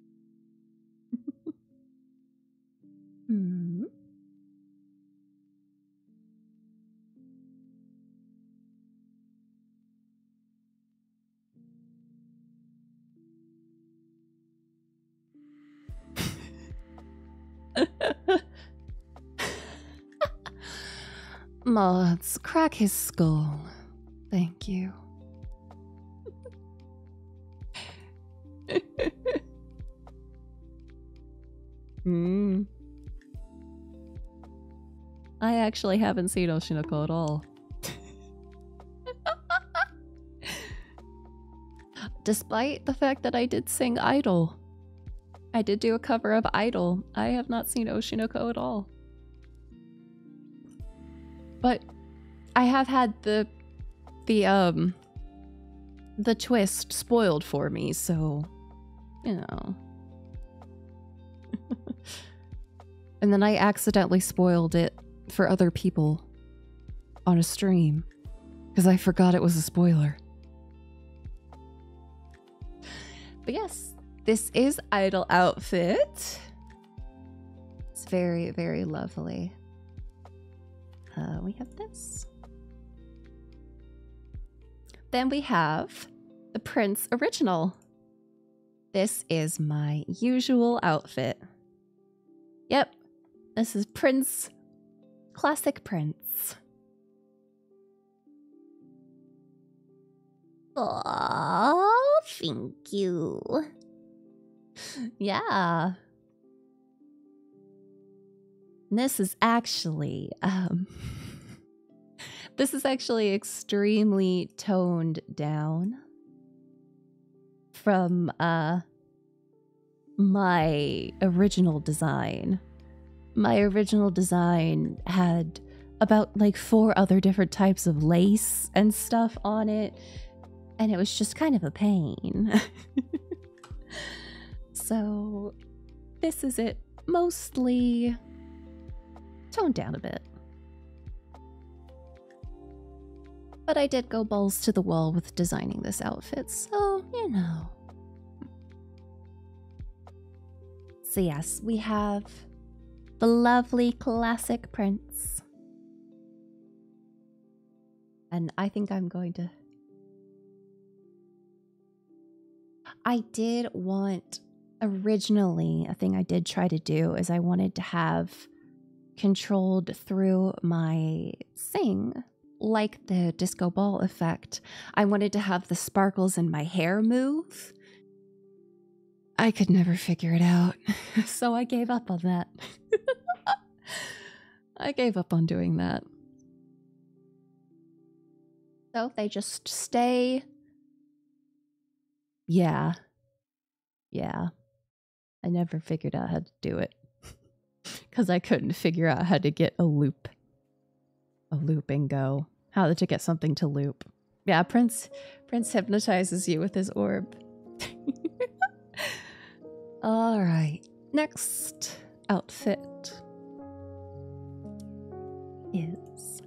hmm. Mods, crack his skull. Thank you. mm. I actually haven't seen Oshinoko at all. Despite the fact that I did sing Idol. I did do a cover of Idol. I have not seen Oshinoko at all. But I have had the the um the twist spoiled for me, so you know. And then I accidentally spoiled it for other people on a stream because I forgot it was a spoiler. But yes, this is Idol Outfit. It's very, very lovely. Uh, we have this. Then we have the Prince Original. This is my usual outfit. Yep, this is Prince. Classic Prince. Oh, thank you. yeah. this is actually um This is actually extremely toned down from uh, my original design. My original design had about like four other different types of lace and stuff on it, and it was just kind of a pain. so, this is it mostly toned down a bit. But I did go balls to the wall with designing this outfit, so you know. So, yes, we have the lovely classic prints. And I think I'm going to. I did want originally a thing I did try to do is I wanted to have controlled through my sing like the disco ball effect. I wanted to have the sparkles in my hair move. I could never figure it out, so I gave up on that. I gave up on doing that. So they just stay yeah. Yeah. I never figured out how to do it because I couldn't figure out how to get a loop, a loop and go, how to get something to loop. Yeah, Prince, Prince hypnotizes you with his orb. All right, next outfit is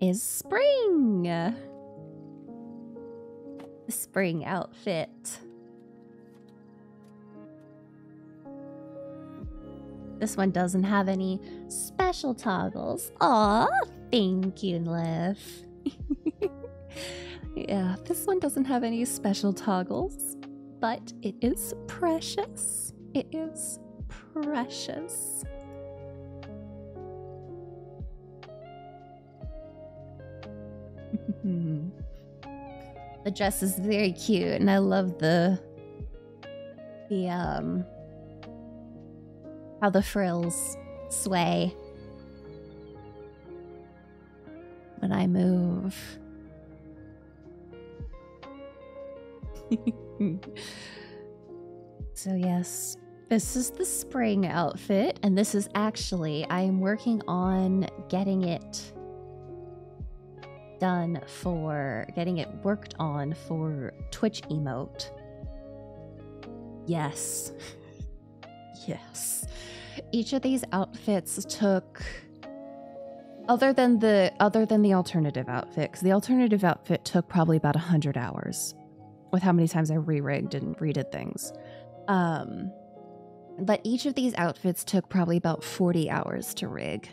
is spring. The spring outfit. This one doesn't have any special toggles. Oh, thank you, Liv. yeah, this one doesn't have any special toggles, but it is precious. It is precious. the dress is very cute and I love the the um how the frills sway when I move. so, yes, this is the spring outfit, and this is actually, I am working on getting it done for getting it worked on for Twitch emote. Yes. yes. Each of these outfits took other than the other than the alternative outfits, the alternative it took probably about 100 hours with how many times I re rigged and redid things. Um, but each of these outfits took probably about 40 hours to rig.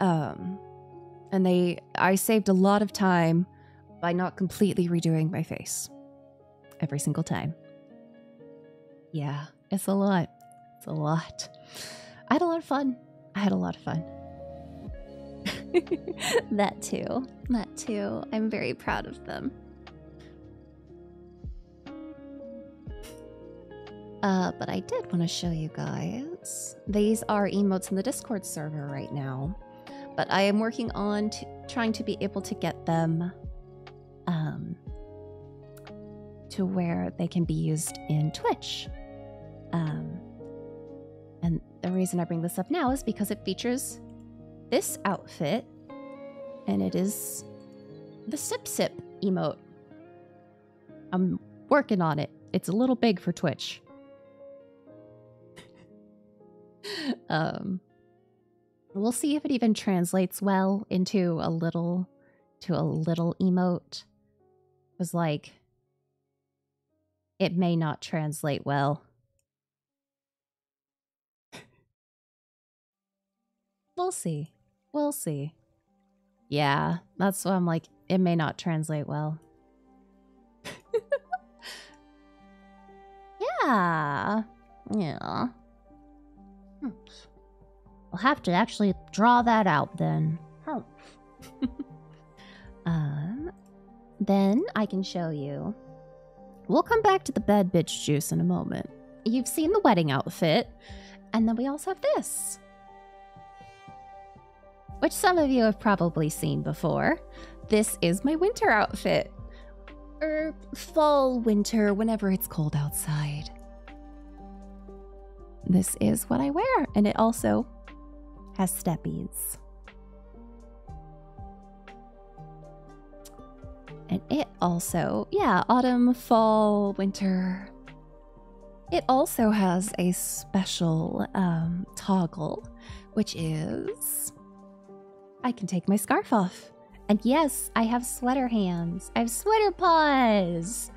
Um, and they, I saved a lot of time by not completely redoing my face every single time. Yeah it's a lot. It's a lot. I had a lot of fun. I had a lot of fun. that too. That too. I'm very proud of them. Uh, but I did want to show you guys. These are emotes in the Discord server right now. But I am working on trying to be able to get them um, to where they can be used in Twitch. Um, and the reason I bring this up now is because it features this outfit, and it is the Sip Sip emote. I'm working on it. It's a little big for Twitch. Um, we'll see if it even translates well into a little to a little emote was like, it may not translate well. we'll see. We'll see. Yeah, that's why I'm like, it may not translate well. yeah. Yeah. Hmm. I'll have to actually draw that out then. Oh. um, then I can show you. We'll come back to the bed bitch juice in a moment. You've seen the wedding outfit, and then we also have this. Which some of you have probably seen before. This is my winter outfit. Or er, fall, winter, whenever it's cold outside this is what I wear. And it also has steppies. And it also, yeah, autumn, fall, winter. It also has a special um, toggle, which is I can take my scarf off. And yes, I have sweater hands. I have sweater paws.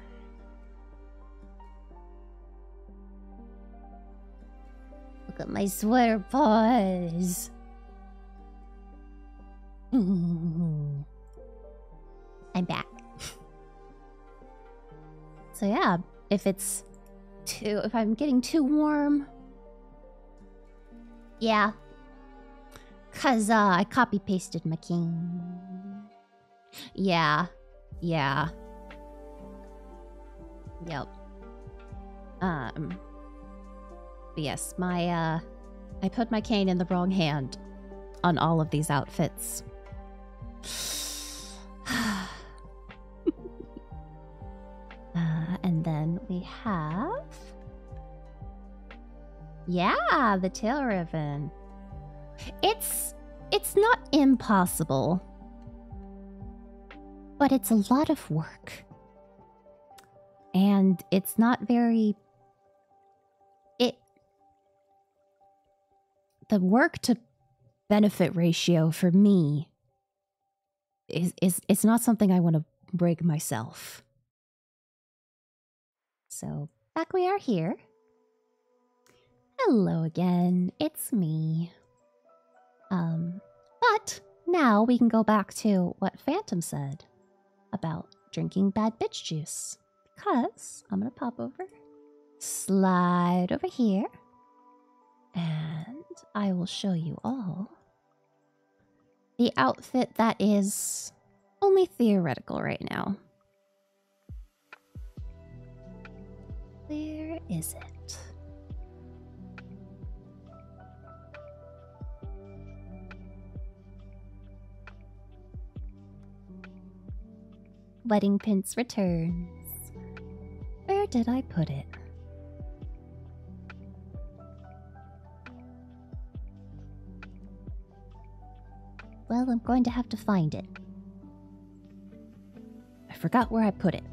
Look at my sweater paws. I'm back. so yeah, if it's too if I'm getting too warm. Yeah. Cause uh I copy pasted my king. Yeah. Yeah. Yep. Um. yes, my, uh... I put my cane in the wrong hand on all of these outfits. Uh, and then we have... Yeah, the tail ribbon. It's it's not impossible. But it's a lot of work. And it's not very it the work to benefit ratio for me is is it's not something I want to break myself. So, back we are here. Hello again, it's me. Um, but now we can go back to what Phantom said about drinking bad bitch juice. Because I'm gonna pop over, slide over here, and I will show you all the outfit that is only theoretical right now. Where is it? Wedding pins returns. Where did I put it? Well, I'm going to have to find it. I forgot where I put it.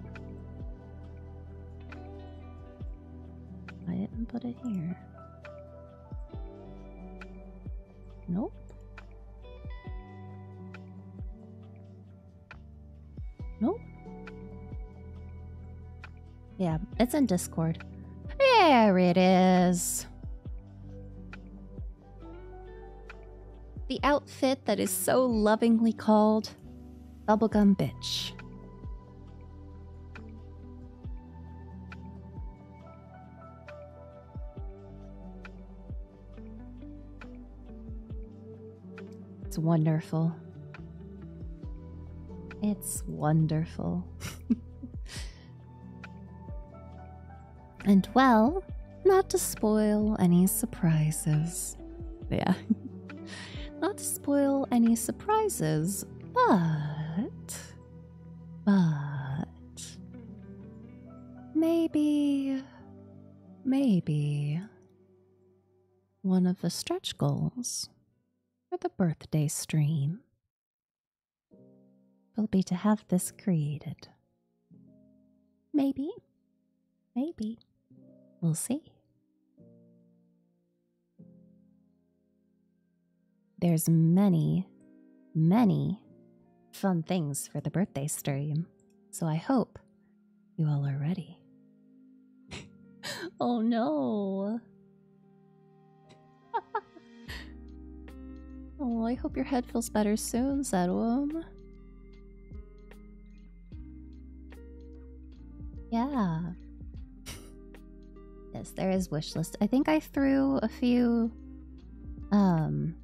I didn't put it here. Nope. Nope. Yeah, it's in Discord. There it is. The outfit that is so lovingly called Bubblegum Bitch. It's wonderful. It's wonderful. And well, not to spoil any surprises. Yeah. not to spoil any surprises, but. But. Maybe. Maybe. One of the stretch goals for the birthday stream will be to have this created. Maybe. Maybe. We'll see. There's many, many fun things for the birthday stream, so I hope you all are ready. oh no! I hope your head feels better soon, Zedwom. Yeah. yes, there is wish list. I think I threw a few um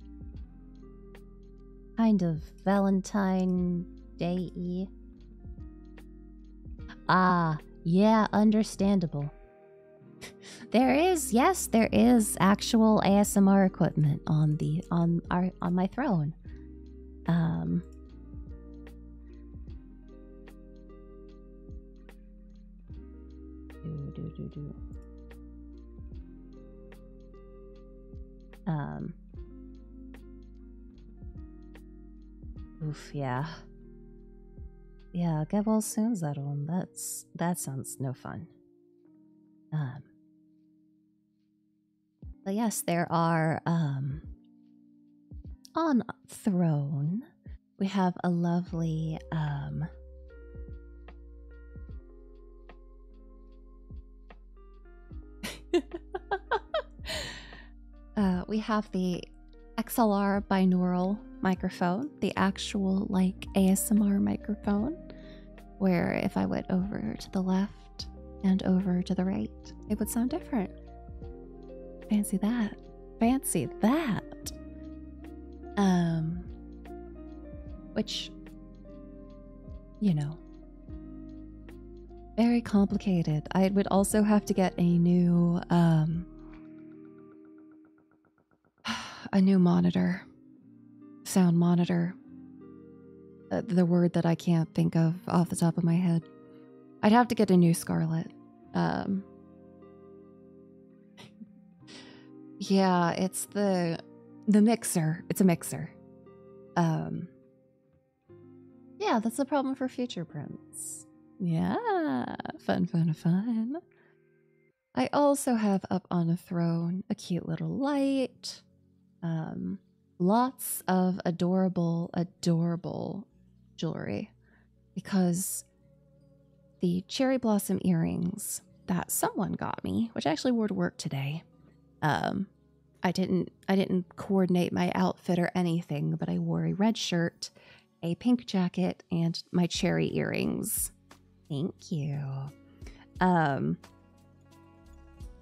kind of Valentine Day Ah, yeah, understandable there is, yes, there is actual ASMR equipment on the on our on my throne. Um do, do, do, do. Um Oof, yeah. Yeah, get well soon, Zaron. That's that sounds no fun. Um, but yes, there are um, on throne. We have a lovely um, uh, we have the XLR binaural microphone, the actual like ASMR microphone where if I went over to the left and over to the right, it would sound different. Fancy that. Fancy that. Um, which, you know, very complicated. I would also have to get a new, um, a new monitor, sound monitor. Uh, the word that I can't think of off the top of my head. I'd have to get a new Scarlet. Um, yeah, it's the the mixer. It's a mixer. Um, yeah, that's a problem for future prints. Yeah, fun, fun, fun. I also have up on a throne a cute little light, um, lots of adorable, adorable jewelry because the cherry blossom earrings that someone got me, which I actually wore to work today. Um, I didn't I didn't coordinate my outfit or anything, but I wore a red shirt, a pink jacket, and my cherry earrings. Thank you. Um,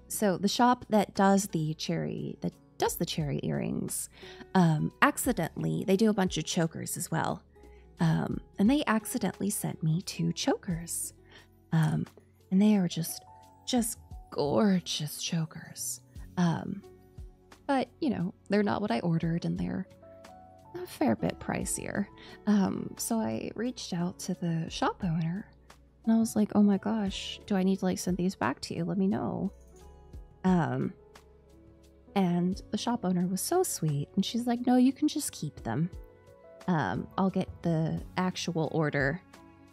so the shop that does the cherry that does the cherry earrings, um, accidentally they do a bunch of chokers as well, um, and they accidentally sent me two chokers, and they are just just gorgeous chokers. but you know they're not what I ordered, and they're a fair bit pricier. Um, so I reached out to the shop owner and I was like, oh my gosh, do I need to like send these back to you? Let me know. Um, and the shop owner was so sweet and she's like, no, you can just keep them. Um, I'll get the actual order.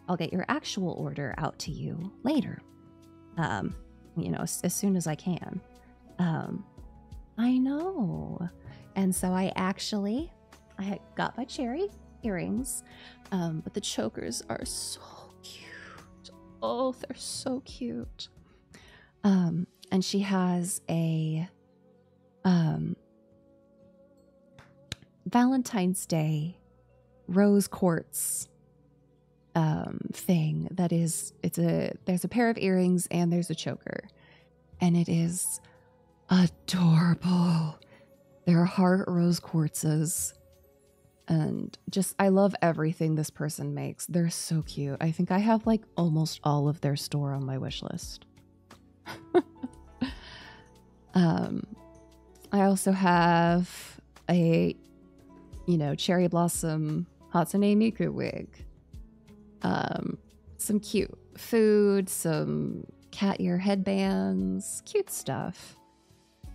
I'll get your actual order out to you later. Um, you know, as, as soon as I can. Um, I know. And so I actually I got my cherry earrings, um, but the chokers are so cute. Oh, they're so cute. Um, and she has a um, Valentine's Day rose quartz thing that is it's a there's a pair of earrings and there's a choker and it is adorable. They're heart rose quartzes. And just, I love everything this person makes. They're so cute. I think I have like almost all of their store on my wish list. um, I also have a, you know, cherry blossom Hatsune Miku wig. Um, some cute food, some cat ear headbands, cute stuff.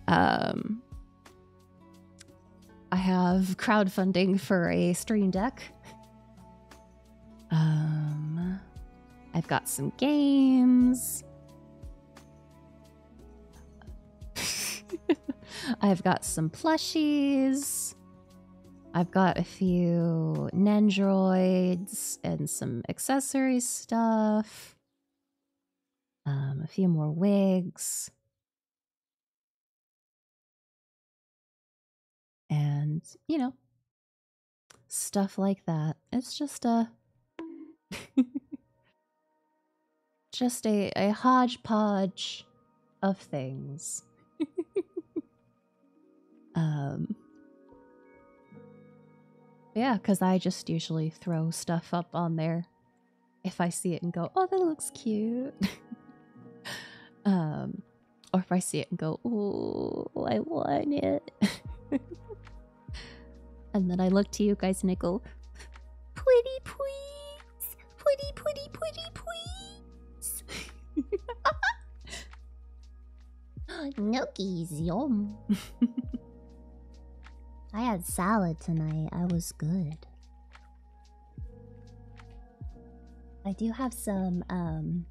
Um, I have crowdfunding for a stream deck. Um, I've got some games. I've got some plushies. I've got a few Nendroids and some accessory stuff. Um, a few more wigs. And, you know, stuff like that. It's just a. just a hodgepodge of things. Um, yeah, because I just usually throw stuff up on there if I see it and go, oh, that looks cute. um, or if I see it and go, oh, I want it. and then I look to you guys and go, pretty please, pretty, pretty, pretty please. Gnocchis, yum. I had salad tonight. I was good. I do have some um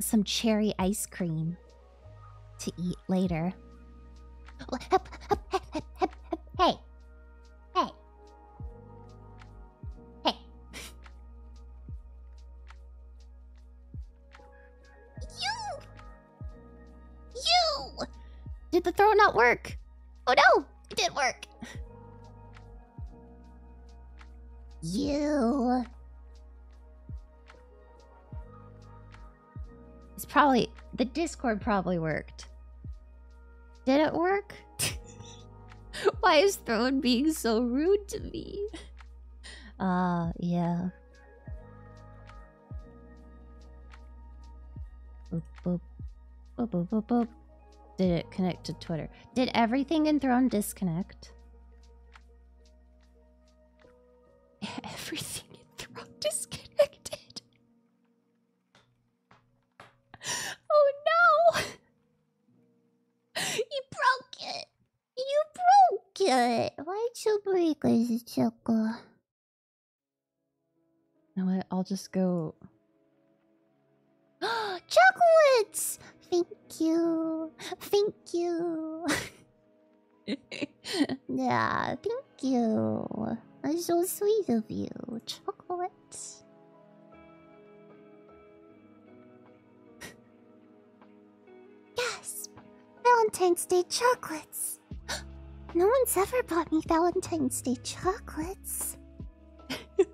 some cherry ice cream to eat later. Hey. Hey. Hey. You! You! Did the throw not work? Oh no! It did work! You! It's probably... The Discord probably worked. Did it work? Why is Throne being so rude to me? uh, yeah. Did it connect to Twitter? Did everything in Throne disconnect? Everything in Throne disconnected. Oh no! You broke it! You broke it! why did you break it, Choco? You know what? I'll just go. Chocolates! Thank you. Thank you. yeah, thank you. That's so sweet of you. Chocolates yes, Valentine's Day chocolates. No one's ever bought me Valentine's Day chocolates.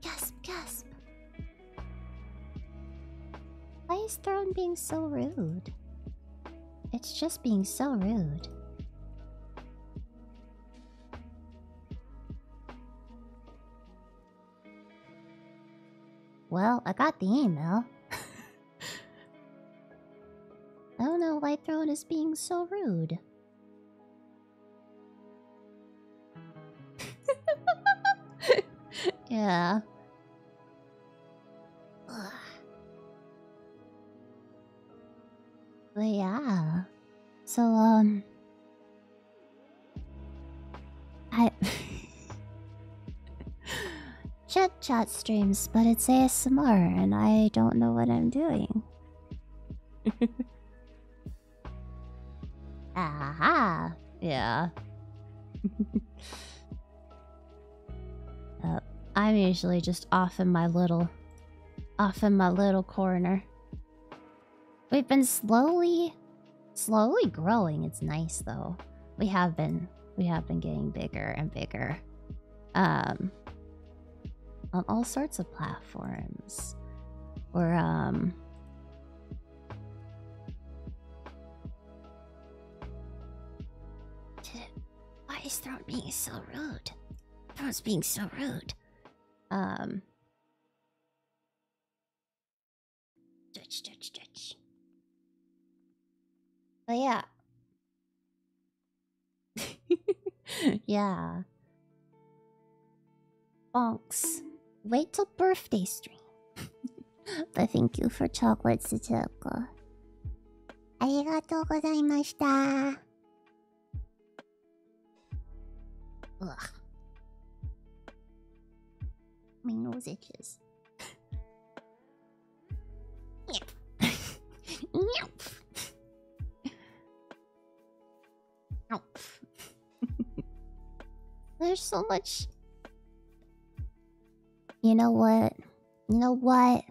gasp, gasp. Why is Throne being so rude? It's just being so rude. Well, I got the email. I don't know why Throne is being so rude. yeah. But yeah. So, um, I Chat chat streams, but it's ASMR and I don't know what I'm doing. Aha! Yeah. Uh, I'm usually just off in my little off in my little corner. We've been slowly, slowly growing. It's nice though. We have been, we have been getting bigger and bigger. Um, on all sorts of platforms. Or um, why is Throat being so rude? Throat's being so rude. Um, Stretch, stretch, stretch. Oh yeah. yeah. Bonks. Wait till birthday stream. but thank you for chocolate, Suchoko. Arigatou gozaimashita. Ugh. My nose itches. Yep. nope. Nope. There's so much. You know what? You know what?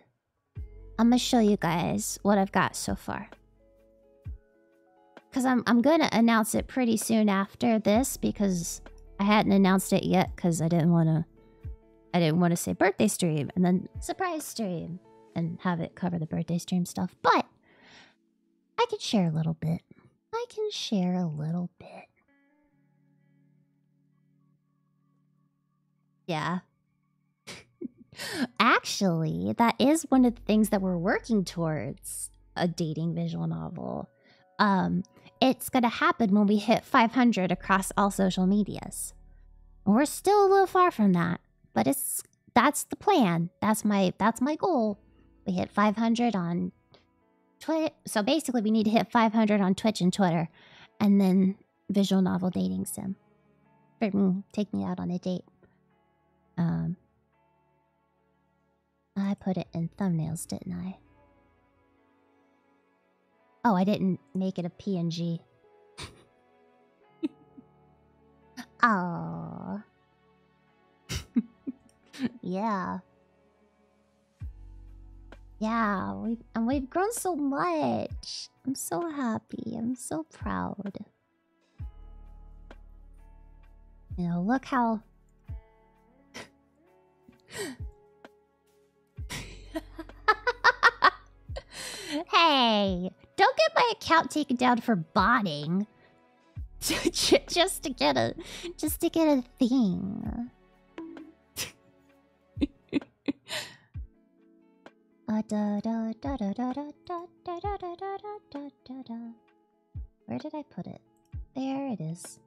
I'm gonna show you guys what I've got so far. Because I'm, I'm going to announce it pretty soon after this because I hadn't announced it yet because I didn't want to... I didn't want to say birthday stream and then surprise stream and have it cover the birthday stream stuff, but I can share a little bit. I can share a little bit. Yeah. Actually, that is one of the things that we're working towards a dating visual novel. Um, it's going to happen when we hit 500 across all social medias. We're still a little far from that, but it's that's the plan. That's my that's my goal. We hit 500 on Twitch. So basically, we need to hit 500 on Twitch and Twitter, and then visual novel dating sim. Take me out on a date. Um, I put it in thumbnails, didn't I? Oh, I didn't make it a PNG. oh. yeah. Yeah, we and we've grown so much. I'm so happy. I'm so proud. You look how. hey, don't get my account taken down for botting. just to get a, just to get a thing. Where did I put it? There it is.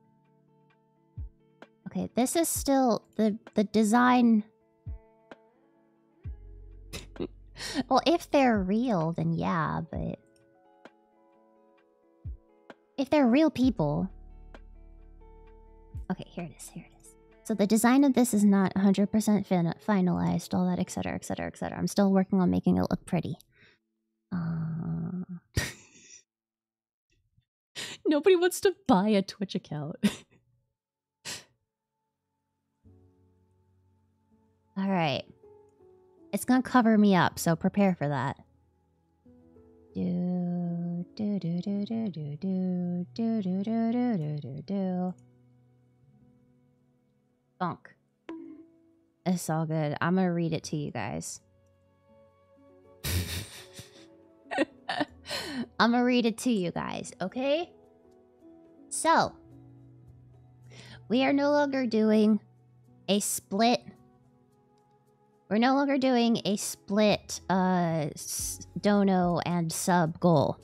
Okay, this is still the the design. well, if they're real, then yeah, but if they're real people. Okay, here it is. Here it is. So the design of this is not 100% finalized, all that, etc., etc., etc. I'm still working on making it look pretty. Uh... Nobody wants to buy a Twitch account. All right. It's going to cover me up, so prepare for that. Do, do, do, do, do, do, do, do, do, do, do, do, do, do. Bonk. It's all good. I'm going to read it to you guys. I'm going to read it to you guys, okay? So, we are no longer doing a split. We're no longer doing a split uh, dono and sub goal.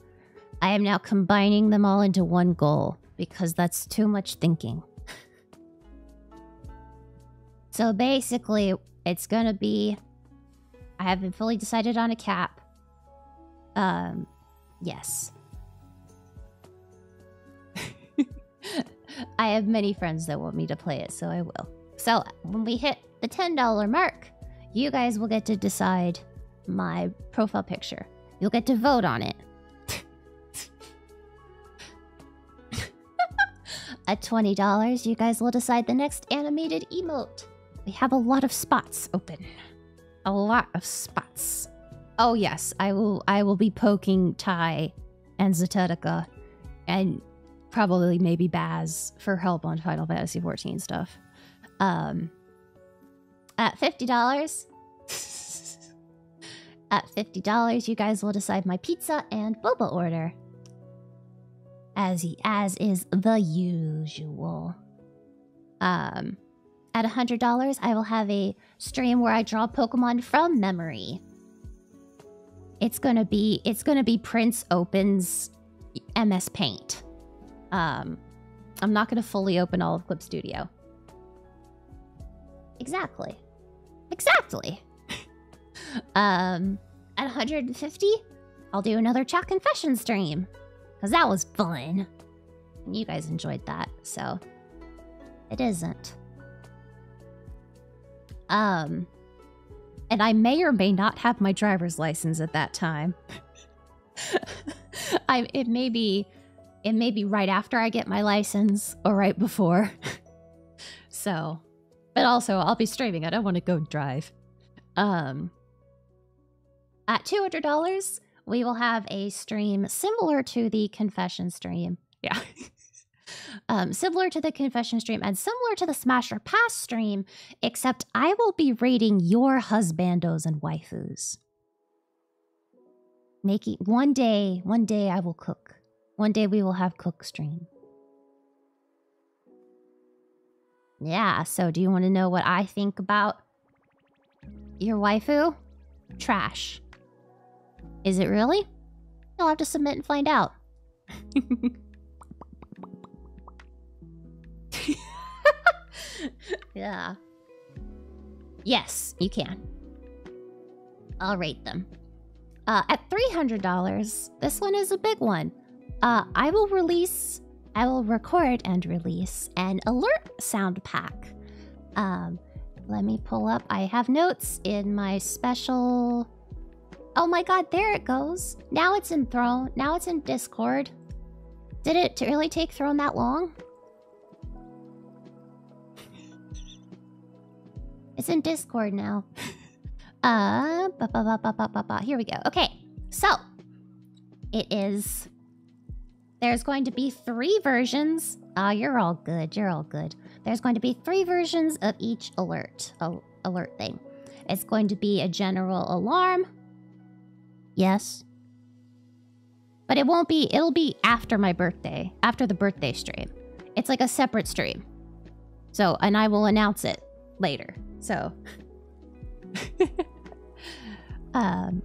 I am now combining them all into one goal because that's too much thinking. so basically, it's going to be... I haven't fully decided on a cap. Um, yes. I have many friends that want me to play it, so I will. So when we hit the $10 mark, you guys will get to decide my profile picture. You'll get to vote on it. At $20, you guys will decide the next animated emote. We have a lot of spots open. A lot of spots. Oh yes, I will I will be poking Ty and Zetetica and probably maybe Baz for help on Final Fantasy XIV stuff. Um at $50. At $50, you guys will decide my pizza and boba order. As as is the usual. Um at $100, I will have a stream where I draw Pokemon from memory. It's going to be it's going to be Prince opens MS Paint. Um I'm not going to fully open all of Clip Studio. Exactly. Exactly. um, at 150, I'll do another chat confession stream. Because that was fun. And you guys enjoyed that, so... It isn't. Um... And I may or may not have my driver's license at that time. I, it may be it may be right after I get my license or right before. so, but also I'll be streaming. I don't want to go drive. Um, at $200, we will have a stream similar to the confession stream. Yeah. Um, similar to the confession stream and similar to the Smasher Pass stream, except I will be rating your husbandos and waifus. Making one day, one day I will cook. One day we will have cook stream. Yeah, so do you want to know what I think about your waifu? Trash. Is it really? You'll have to submit and find out. yeah. Yes, you can. I'll rate them. Uh, at $300, this one is a big one. Uh, I will release, I will record and release an alert sound pack. Um, let me pull up. I have notes in my special. Oh my god, there it goes. Now it's in Throne. Now it's in Discord. Did it really take Throne that long? It's in Discord now. uh, ba -ba -ba -ba -ba -ba -ba. here we go. Okay, so it is. There's going to be three versions. Ah, oh, you're all good. You're all good. There's going to be three versions of each alert. Oh, alert thing. It's going to be a general alarm. Yes. But it won't be, it'll be after my birthday, after the birthday stream. It's like a separate stream. So, and I will announce it later. So, um,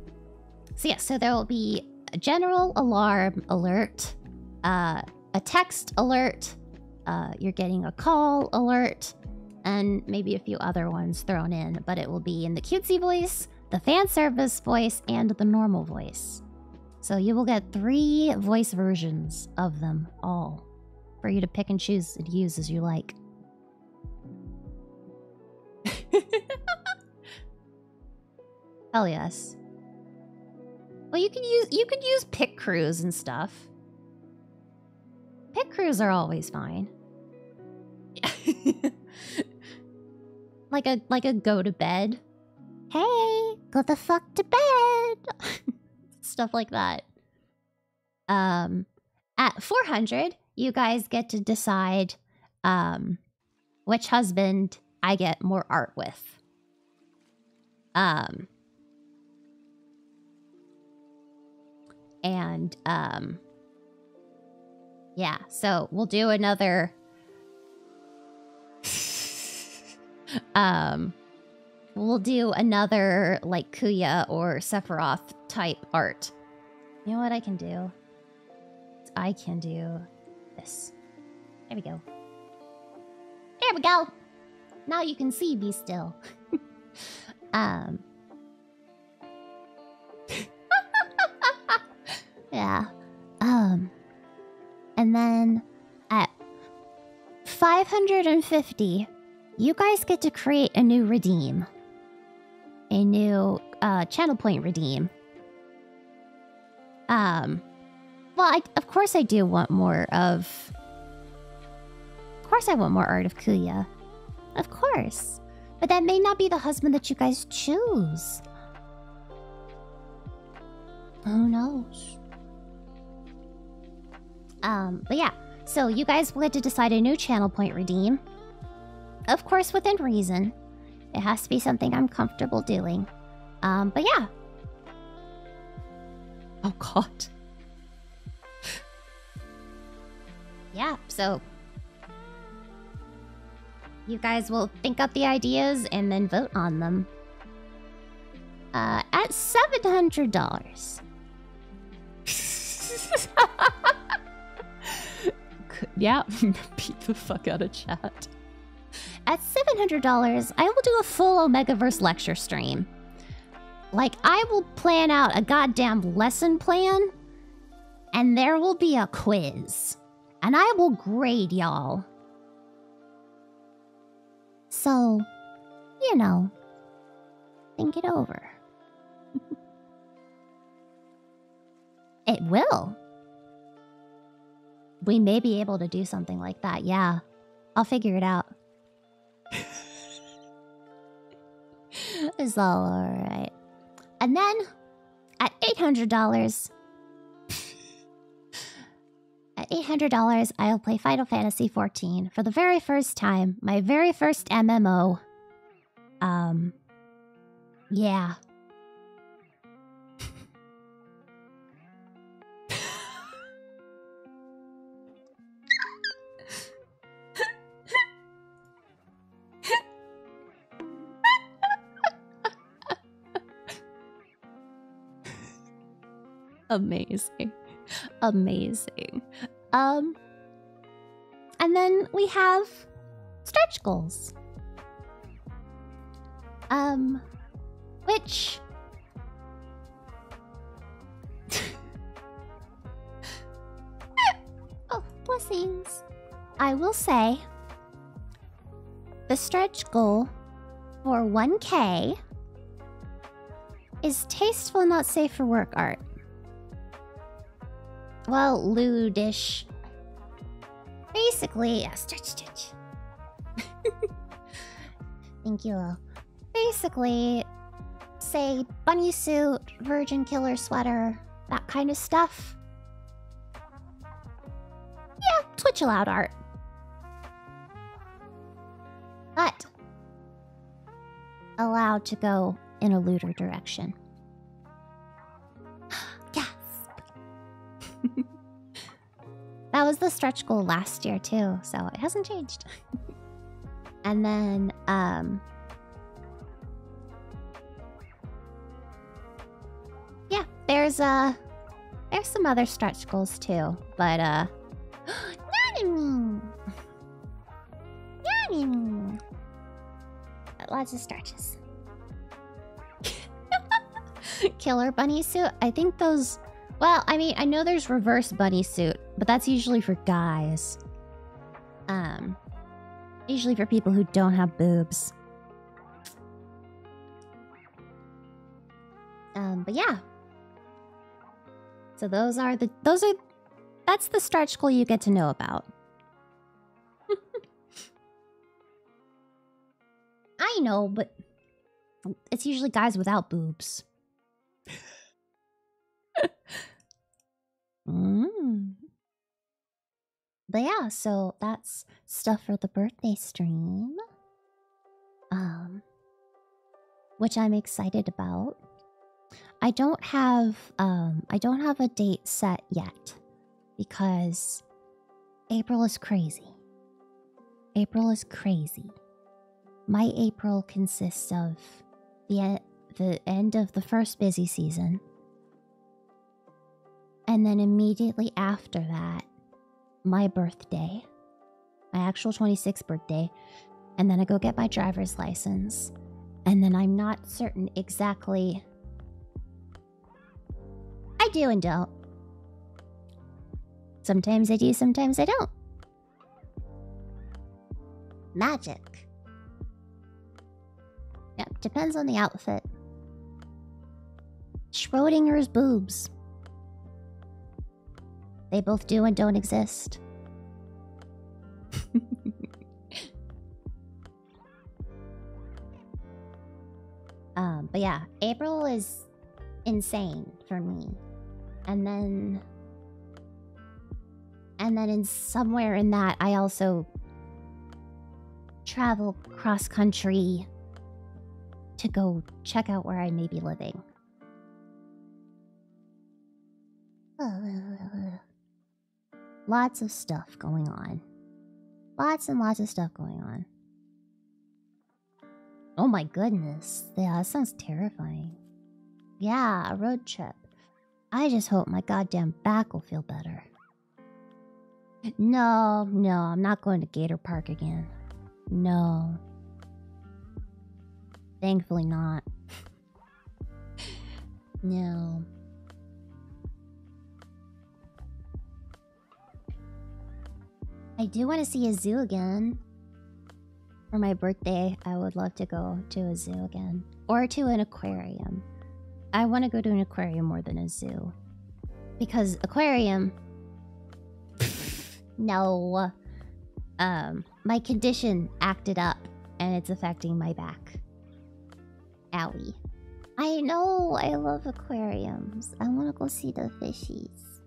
so yeah, so there will be a general alarm alert, uh, a text alert, uh, you're getting a call alert, and maybe a few other ones thrown in, but it will be in the cutesy voice, the fan service voice, and the normal voice. So you will get three voice versions of them all for you to pick and choose and use as you like. Hell yes. Well, you can use you can use pick crews and stuff. Pick crews are always fine. like a like a go to bed Hey, go the fuck to bed. Stuff like that. Um, at 400, you guys get to decide um, which husband I get more art with. Um, and um, yeah, so we'll do another um, we'll do another like Kuya or Sephiroth type art. You know what I can do? I can do this. There we go. There we go. Now you can see Be still. um. yeah. Um. And then at 550, you guys get to create a new redeem. A new uh, channel point redeem. Um, well, I, of course I do want more of... Of course I want more Art of Kuya. Of course. But that may not be the husband that you guys choose. Who knows? Um, but yeah, so you guys will get to decide a new channel point redeem. Of course, within reason. It has to be something I'm comfortable doing. Um, but yeah. Oh, God. yeah, so you guys will think up the ideas and then vote on them. Uh, at $700. yeah, beat the fuck out of chat. At $700, I will do a full Omegaverse lecture stream. Like, I will plan out a goddamn lesson plan, and there will be a quiz and I will grade y'all. So, you know, think it over. it will. We may be able to do something like that, yeah. I'll figure it out. it's all alright. And then at $800. at $800, I'll play Final Fantasy XIV for the very first time. My very first MMO. Um, yeah. Amazing. Amazing. Um, and then we have stretch goals. Um, which oh, blessings. I will say the stretch goal for 1K is tasteful not safe for work art. Well, lewdish. Basically, yeah, stretch, stretch. Thank you. Basically, say bunny suit, virgin killer sweater, that kind of stuff. Yeah, Twitch allowed art. But allowed to go in a looter direction. Gasp! that was the stretch goal last year too, so it hasn't changed. and then, um, yeah, there's uh there's some other stretch goals too, but uh Nanami! Lots of stretches. Killer bunny suit? I think those well, I mean, I know there's reverse bunny suit, but that's usually for guys. Um, usually for people who don't have boobs. Um, but yeah. So those are the those are that's the starch goal you get to know about. I know, but it's usually guys without boobs. Mm. But yeah, so that's stuff for the birthday stream um, which I'm excited about. I don't have um, I don't have a date set yet because April is crazy. April is crazy. My April consists of the the end of the first busy season. And then immediately after that, my birthday, my actual 26th birthday, and then I go get my driver's license. And then I'm not certain exactly. I do and don't. Sometimes I do, sometimes I don't. Magic. Yep, depends on the outfit. Schrodinger's boobs. They both do and don't exist. Um, but yeah, April is insane for me. And then and then in somewhere in that I also travel cross country to go check out where I may be living. Lots of stuff going on. Lots and lots of stuff going on. Oh my goodness. Yeah, that sounds terrifying. Yeah, a road trip. I just hope my goddamn back will feel better. No, no, I'm not going to Gator Park again. No. Thankfully, not. no. I do want to see a zoo again. For my birthday, I would love to go to a zoo again. Or to an aquarium. I want to go to an aquarium more than a zoo. Because aquarium, no. Um, my condition acted up and it's affecting my back. Owie. I know, I love aquariums. I wanna go see the fishies.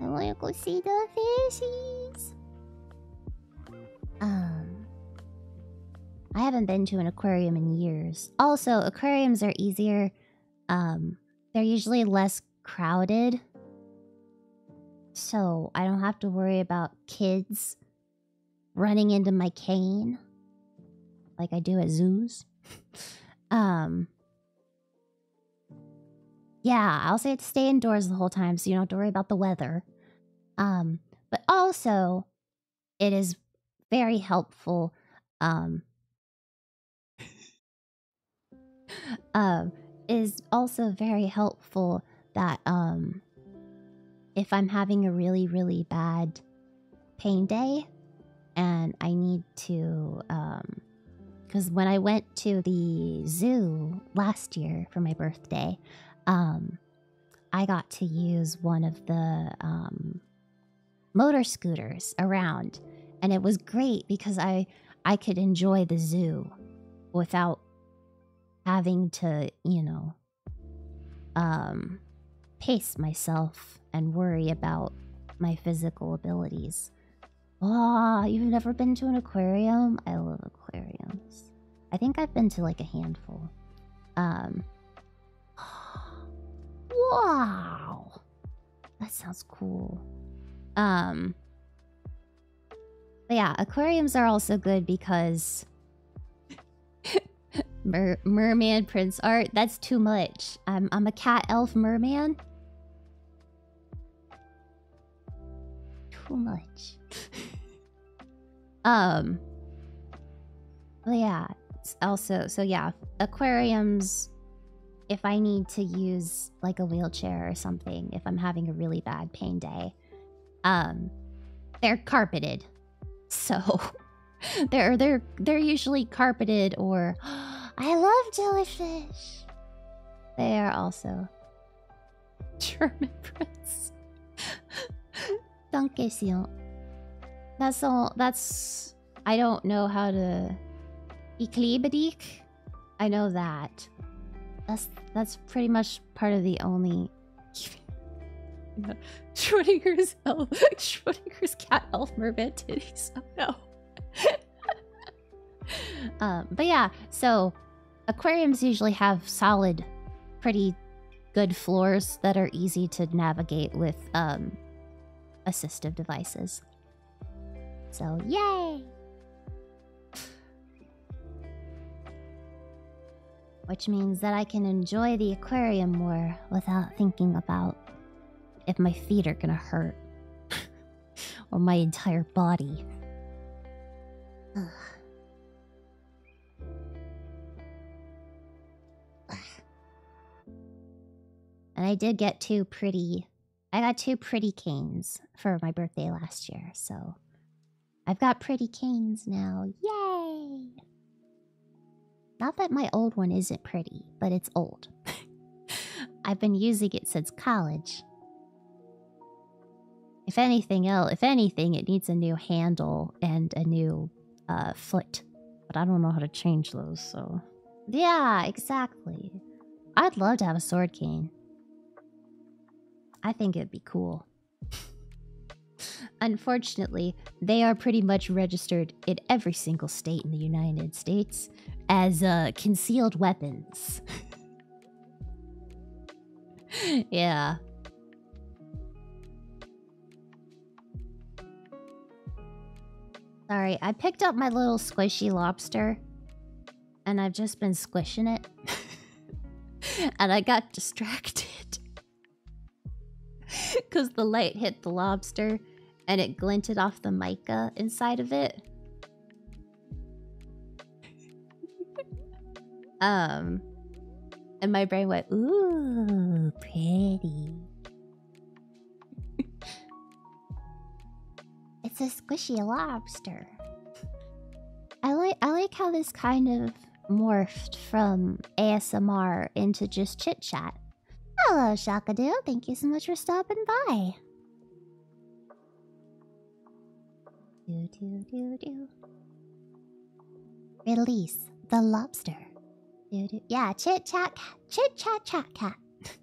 I wanna go see the fishies. Um, I haven't been to an aquarium in years. Also, aquariums are easier um, they're usually less crowded. So I don't have to worry about kids running into my cane like I do at zoos. um Yeah, I'll say to stay indoors the whole time so you don't have to worry about the weather. Um but also it is very helpful um um, is also very helpful that um, if I'm having a really, really bad pain day and I need to. Um, because when I went to the zoo last year for my birthday, um, I got to use one of the um, motor scooters around and it was great because I I could enjoy the zoo without having to, you know, um, pace myself and worry about my physical abilities. Ah, you've never been to an aquarium? I love aquariums. I think I've been to like a handful. Um Wow. That sounds cool. Um, but yeah, aquariums are also good because merman prince art. That's too much. I'm I'm a cat elf merman. Too much. um. But yeah. Also, so yeah, aquariums if I need to use like a wheelchair or something, if I'm having a really bad pain day, um, they're carpeted. So they're they're they're usually carpeted or I love jellyfish. They are also German prince. Danke sehr. That's all that's I don't know how to. Equilibric? I know that. That's that's pretty much part of the only. no. Schrodinger's elf. Schrodinger's cat elf mermaid titties. Oh no. Um, but yeah, so aquariums usually have solid, pretty good floors that are easy to navigate with um, assistive devices. So, yay! Which means that I can enjoy the aquarium more without thinking about if my feet are gonna hurt or my entire body. and I did get too pretty I got two pretty canes for my birthday last year, so I've got pretty canes now. Yay! Not that my old one isn't pretty, but it's old. I've been using it since college. If anything else, if anything, it needs a new handle and a new uh, foot. But I don't know how to change those, so yeah, exactly. I'd love to have a sword cane. I think it'd be cool. Unfortunately, they are pretty much registered in every single state in the United States as uh, concealed weapons. yeah. Sorry, I picked up my little squishy lobster. And I've just been squishing it. and I got distracted. Because the light hit the lobster. And it glinted off the mica inside of it. um... And my brain went, ooh, pretty. it's a squishy lobster. I like I like how this kind of morphed from ASMR into just chit chat. Hello, Shakadoo. Thank you so much for stopping by. Release the lobster. Do do. Yeah, chit chat Chit chat chat cat.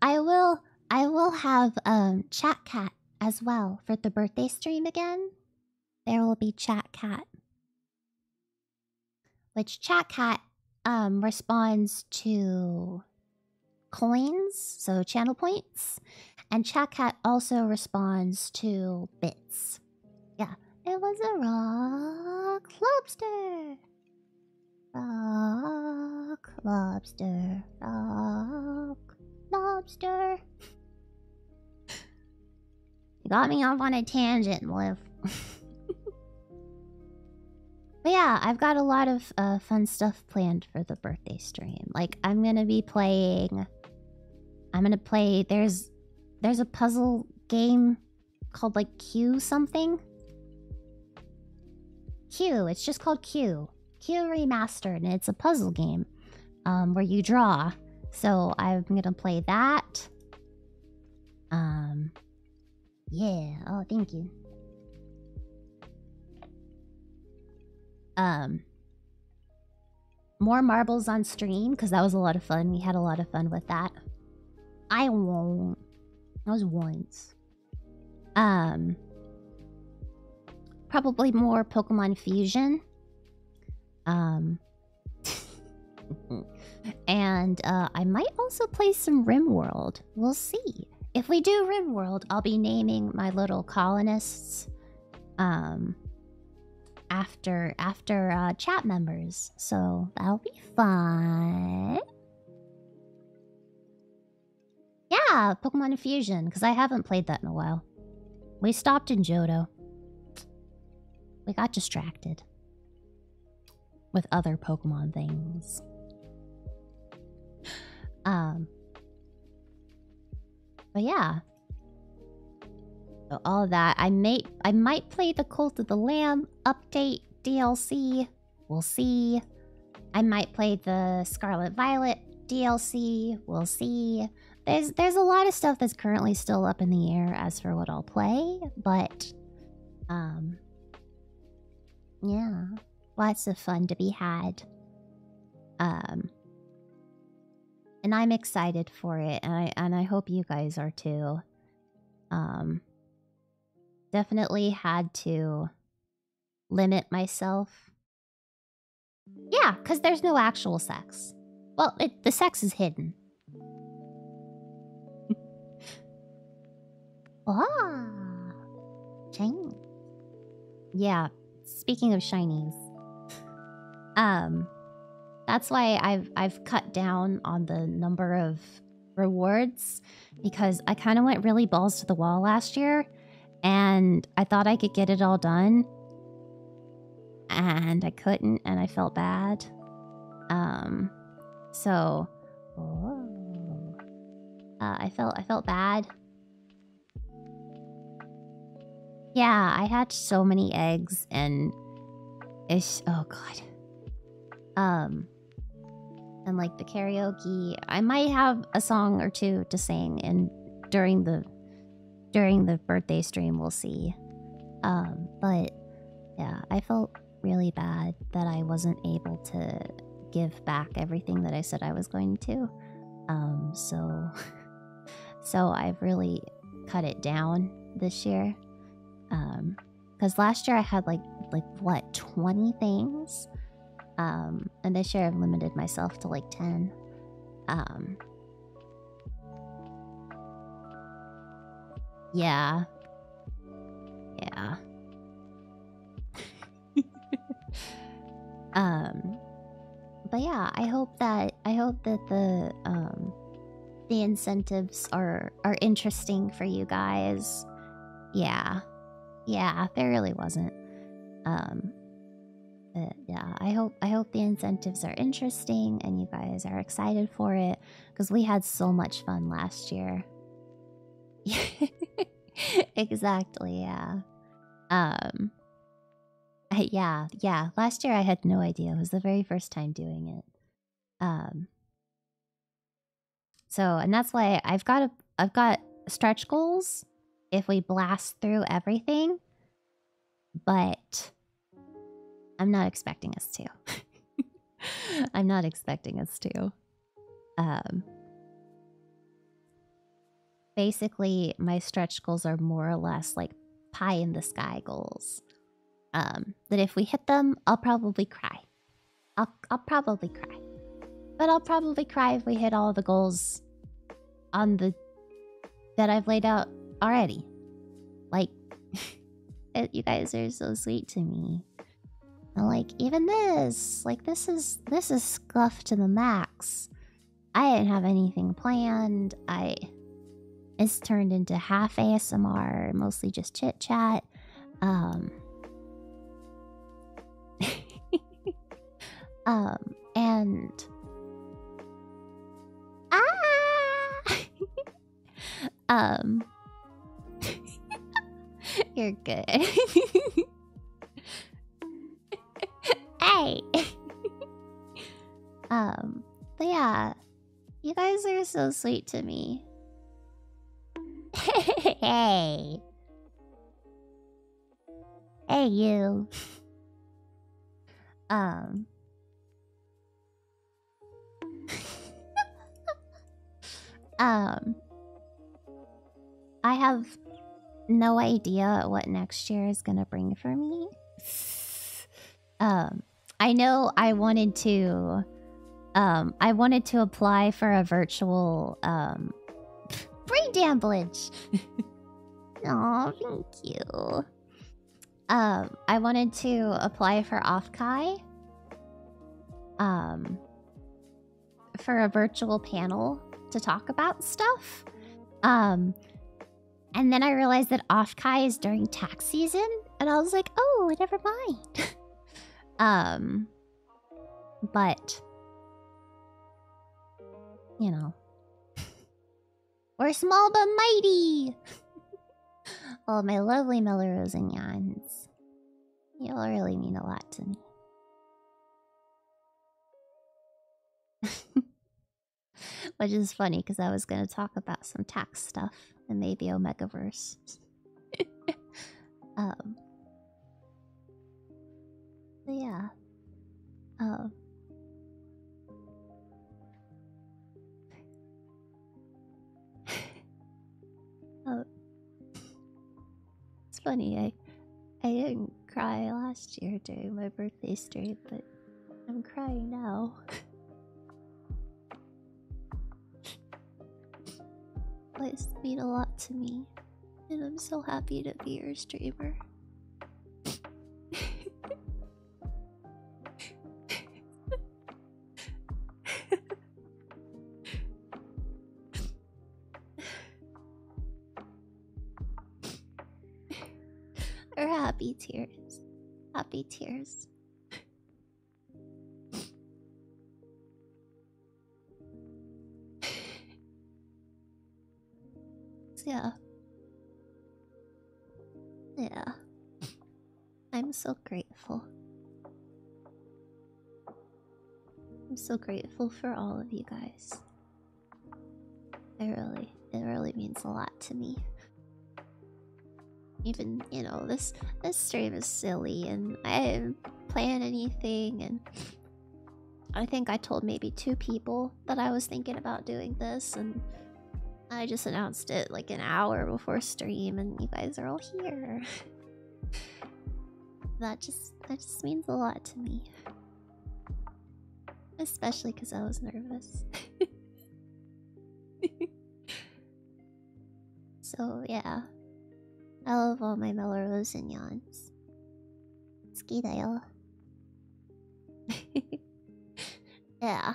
I will I will have um chat cat as well for the birthday stream again. There will be chat cat. Which chat cat um responds to coins, so channel points, and chat cat also responds to bits. Yeah. It was a rock lobster. Rock, lobster, rock, lobster. you got me off on a tangent, Liv. but yeah, I've got a lot of uh, fun stuff planned for the birthday stream. Like, I'm gonna be playing. I'm gonna play. There's, there's a puzzle game called like Q something. Q, it's just called Q. Q Remastered, and it's a puzzle game um, where you draw. So I'm gonna play that. Um, yeah. Oh, thank you. Um, more marbles on stream because that was a lot of fun. We had a lot of fun with that. I won't. That was once. Um, probably more Pokemon Fusion. Um, and uh, I might also play some Rim World. We'll see. If we do Rim World, I'll be naming my little colonists um, after after uh, chat members. So that'll be fun. Yeah, Pokemon Fusion, because I haven't played that in a while. We stopped in Johto. We got distracted. With other Pokemon things. Um. But yeah. So all that. I may I might play the Cult of the Lamb update DLC We'll see. I might play the Scarlet Violet DLC. We'll see. There's there's a lot of stuff that's currently still up in the air as for what I'll play, but um yeah, lots of fun to be had. Um and I'm excited for it and I and I hope you guys are too. Um definitely had to limit myself. Yeah, because there's no actual sex. Well, the sex is hidden. ah, shiny. Yeah, speaking of shinies, um, that's why I've I've cut down on the number of rewards because I kind of went really balls to the wall last year and I thought I could get it all done and I couldn't and I felt bad. Um so uh, I felt I felt bad. Yeah, I hatched so many eggs and ish oh god. Um and like the karaoke, I might have a song or two to sing and during the during the birthday stream we'll see. Um, but yeah, I felt really bad that I wasn't able to give back everything that I said I was going to. Um, so so I've really cut it down this year. Um, because last year I had like like what twenty things, um, and this year I've limited myself to like ten. Um, yeah, yeah. um, but yeah, I hope that I hope that the um, the incentives are are interesting for you guys. Yeah. Yeah, there really wasn't. Um, but yeah, I hope I hope the incentives are interesting and you guys are excited for it because we had so much fun last year. exactly. Yeah. Um. Yeah. Yeah. Last year I had no idea. It was the very first time doing it. Um. So, and that's why I've got a, I've got stretch goals if we blast through everything, but I'm not expecting us to. I'm not expecting us to. Um, basically, my stretch goals are more or less like pie in the sky goals. Um, that if we hit them, I'll probably cry. I'll, I'll probably cry. But I'll probably cry if we hit all the goals on the that I've laid out already. Like, you guys are so sweet to me. like, even this, like this is this is scuffed to the max. I didn't have anything planned. I it's turned into half ASMR, mostly just chit chat um um and ah um you're good hey um but yeah you guys are so sweet to me hey Hey, you. um. um. I have no idea what next year is gonna bring for me. Um, I know I wanted to. Um, I wanted to apply for a virtual um Free brain Oh, thank you. Um, I wanted to apply for Ofkai. Um, for a virtual panel to talk about stuff. Um, and then I realized that Ofkai is during tax season, and I was like, oh, never mind. um, but, you know, we're small but mighty. All my lovely Melrose and Yans, y'all really mean a lot to me. Which is funny because I was going to talk about some tax stuff and maybe Omegaverse. um, yeah. Um. oh. It's funny, I I didn't cry last year during my birthday stream, but I'm crying now. Lights mean a lot to me. And I'm so happy to be your streamer. or happy tears. Happy tears. yeah. Yeah. I'm so grateful. I'm so grateful for all of you guys. It really, it really means a lot to me. Even, you know, this this stream is silly and I didn't plan anything and I think I told maybe two people that I was thinking about doing this, and I just announced it like an hour before stream, and you guys are all here. that just that just means a lot to me, especially because I was nervous. so yeah, I love all my Melrose and Yawns.。好きだよ。いや。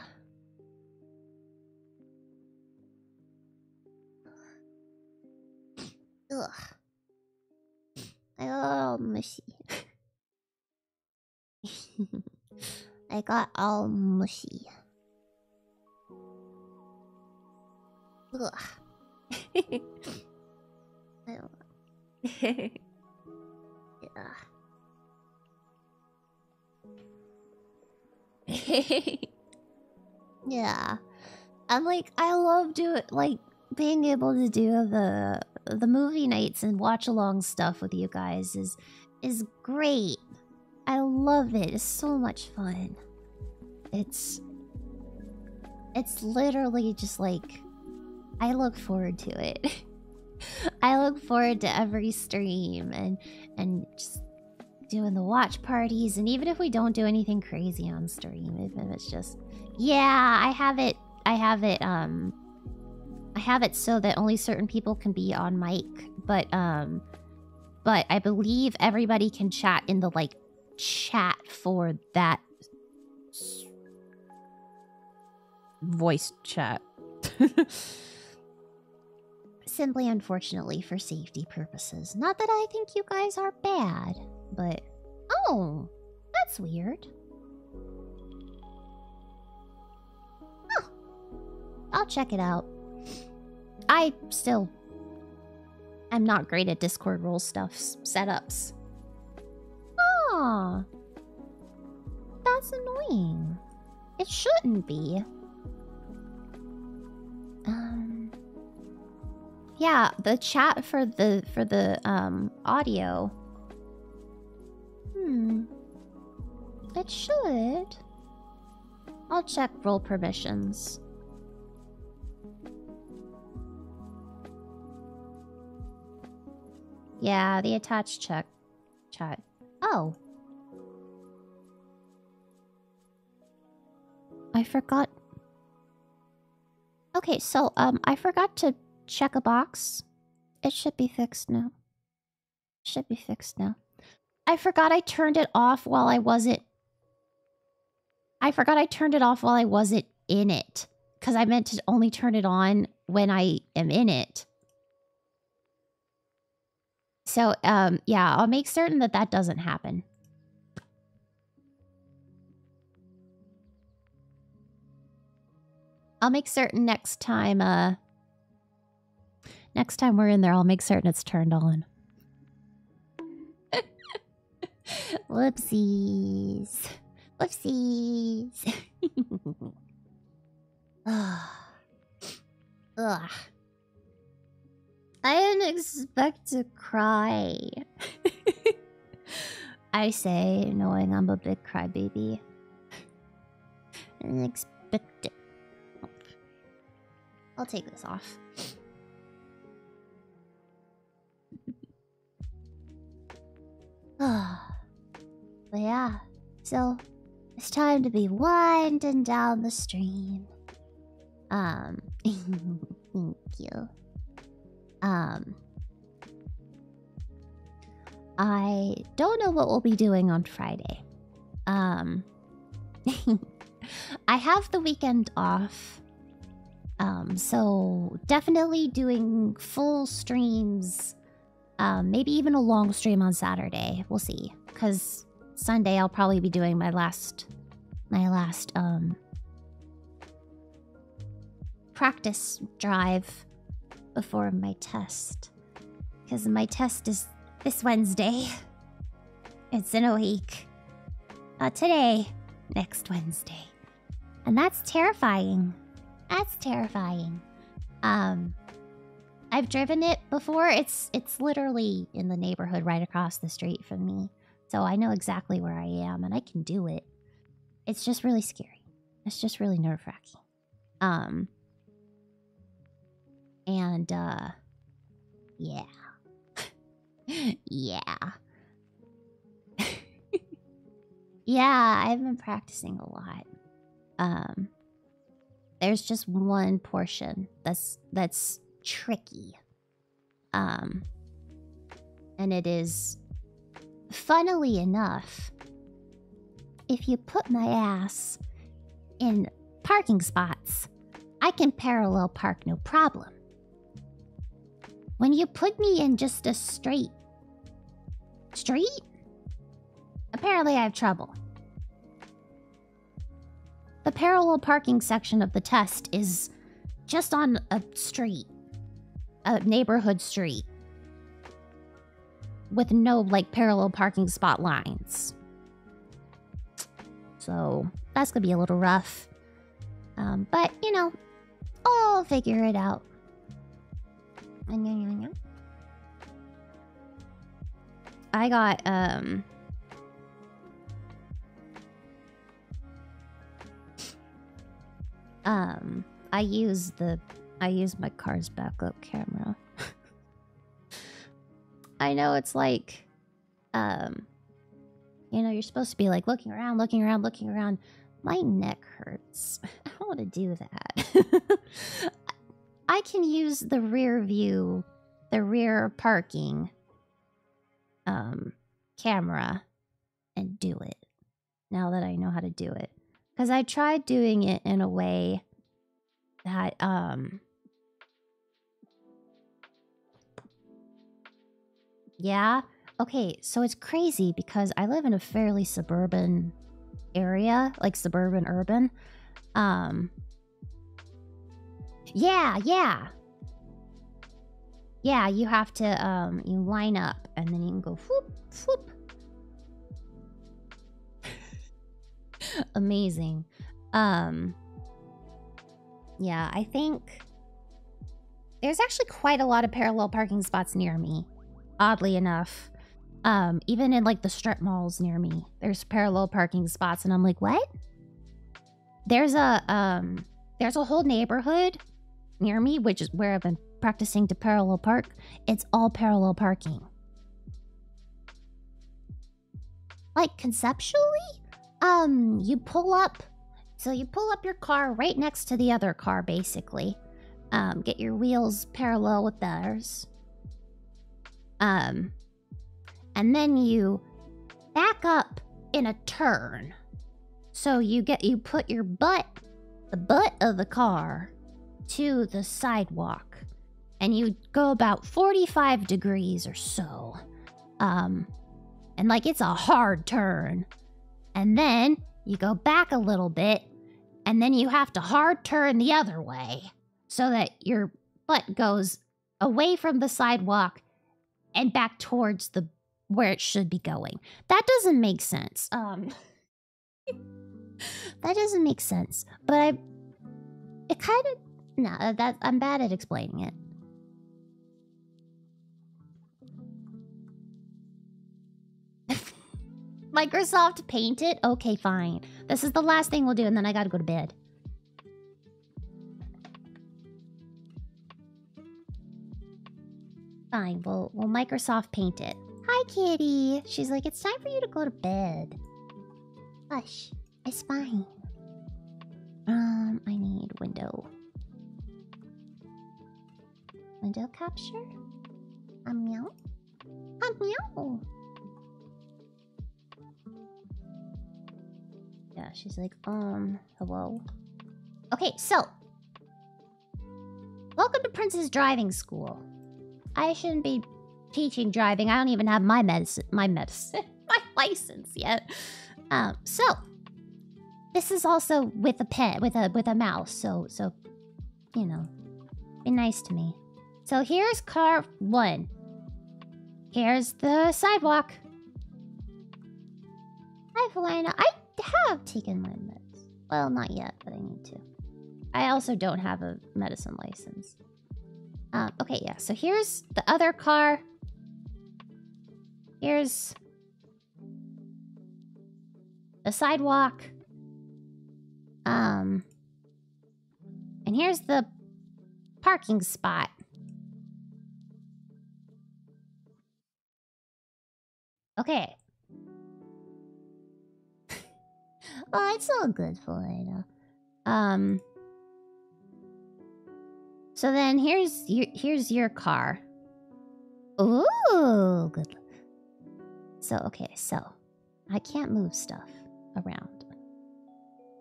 うわ。あよー、虫。I got all mushy. Ugh. yeah. yeah. I'm like, I love doing like being able to do the the movie nights and watch along stuff with you guys is is great. I love it. It's so much fun. It's it's literally just like I look forward to it. I look forward to every stream and and just doing the watch parties and even if we don't do anything crazy on stream, it's just yeah, I have it I have it um I have it so that only certain people can be on mic, but um but I believe everybody can chat in the like chat for that voice chat. Simply, unfortunately, for safety purposes. Not that I think you guys are bad, but. Oh, that's weird. I'll check it out. I still I'm not great at Discord role stuffs setups. Ah, that's annoying. It shouldn't be. Um, yeah, the chat for the for the um audio. Hmm. It should. I'll check role permissions. Yeah, the attached check chat. Oh. I forgot. Okay, so um I forgot to check a box. It should be fixed now. Should be fixed now. I forgot I turned it off while I wasn't I forgot I turned it off while I wasn't in it. Because I meant to only turn it on when I am in it. So, um, yeah, I'll make certain that that doesn't happen. I'll make certain next time, uh, next time we're in there, I'll make certain it's turned on. Whoopsies. Whoopsies. Ugh. Ugh. I didn't expect to cry. I say, knowing I'm a big crybaby. I expect it. I'll take this off but yeah, so it's time to be winding down the stream. Um, thank you. Um, I don't know what we'll be doing on Friday. Um, I have the weekend off. Um, so definitely doing full streams, um, maybe even a long stream on Saturday. We'll see, because Sunday I'll probably be doing my last, my last um, practice drive before my test, because my test is this Wednesday. It's in a week. Uh, today, next Wednesday. And that's terrifying. That's terrifying. Um I've driven it before. It's it's literally in the neighborhood right across the street from me. So I know exactly where I am and I can do it. It's just really scary. It's just really nerve-wracking. Um and uh yeah. yeah. yeah, I've been practicing a lot. Um there's just one portion that's that's tricky. Um and it is funnily enough if you put my ass in parking spots, I can parallel park no problem. When you put me in just a straight street, apparently I have trouble. The parallel parking section of the test is just on a street, a neighborhood street, with no like parallel parking spot lines. So that's gonna be a little rough. Um, but you know, I'll figure it out. I got, um... Um, I use the... I use my car's backup camera. I know it's like... Um... You know, you're supposed to be like looking around, looking around, looking around. My neck hurts. I don't want to do that. I can use the rear view, the rear parking um, camera and do it now that I know how to do it. Because I tried doing it in a way that um, yeah. Okay, so it's crazy because I live in a fairly suburban area, like suburban urban. Um Yeah, yeah. Yeah, you have to um you line up and then you can go whoop whoop. Amazing. Um Yeah, I think there's actually quite a lot of parallel parking spots near me, oddly enough. Um, even in like the strip malls near me, there's parallel parking spots, and I'm like, what? There's a um, there's a whole neighborhood near me, which is where I've been practicing to parallel park. It's all parallel parking. Like conceptually, um, you pull up so you pull up your car right next to the other car, basically. Um, get your wheels parallel with theirs. Um, and then you back up in a turn. So you get you put your butt, the butt of the car, to the sidewalk, and you go about forty-five degrees or so. Um, and like it's a hard turn and then you go back a little bit, and then you have to hard turn the other way so that your butt goes away from the sidewalk and back towards the where it should be going. That doesn't make sense. Um That doesn't make sense. But I it kind of no, that I'm bad at explaining it. Microsoft Paint it? Okay, fine. This is the last thing we'll do, and then I gotta go to bed. Fine, we'll, we'll Microsoft Paint it. Hi, kitty. She's like, it's time for you to go to bed. Hush, it's fine. Um, I need window. Window capture? A meow? A meow! Yeah, she's like, um, hello. Okay, so. Welcome to Princess Driving School. I shouldn't be teaching driving. I don't even have my medicine, my medicine, my license yet. Um, so, this is also with a pet, with a with a mouse, so so you know. Be nice to me. So here's car one. Here's the sidewalk. Hi, Valina. I have taken my meds. Well, not yet, but I need to. I also don't have a medicine license. Um, okay, yeah. So here's the other car. Here's a sidewalk. Um. And here's the parking spot. Okay. Oh, it's all good for later. Um. So then here's your, here's your car. Oh, good. So, okay, so I can't move stuff around.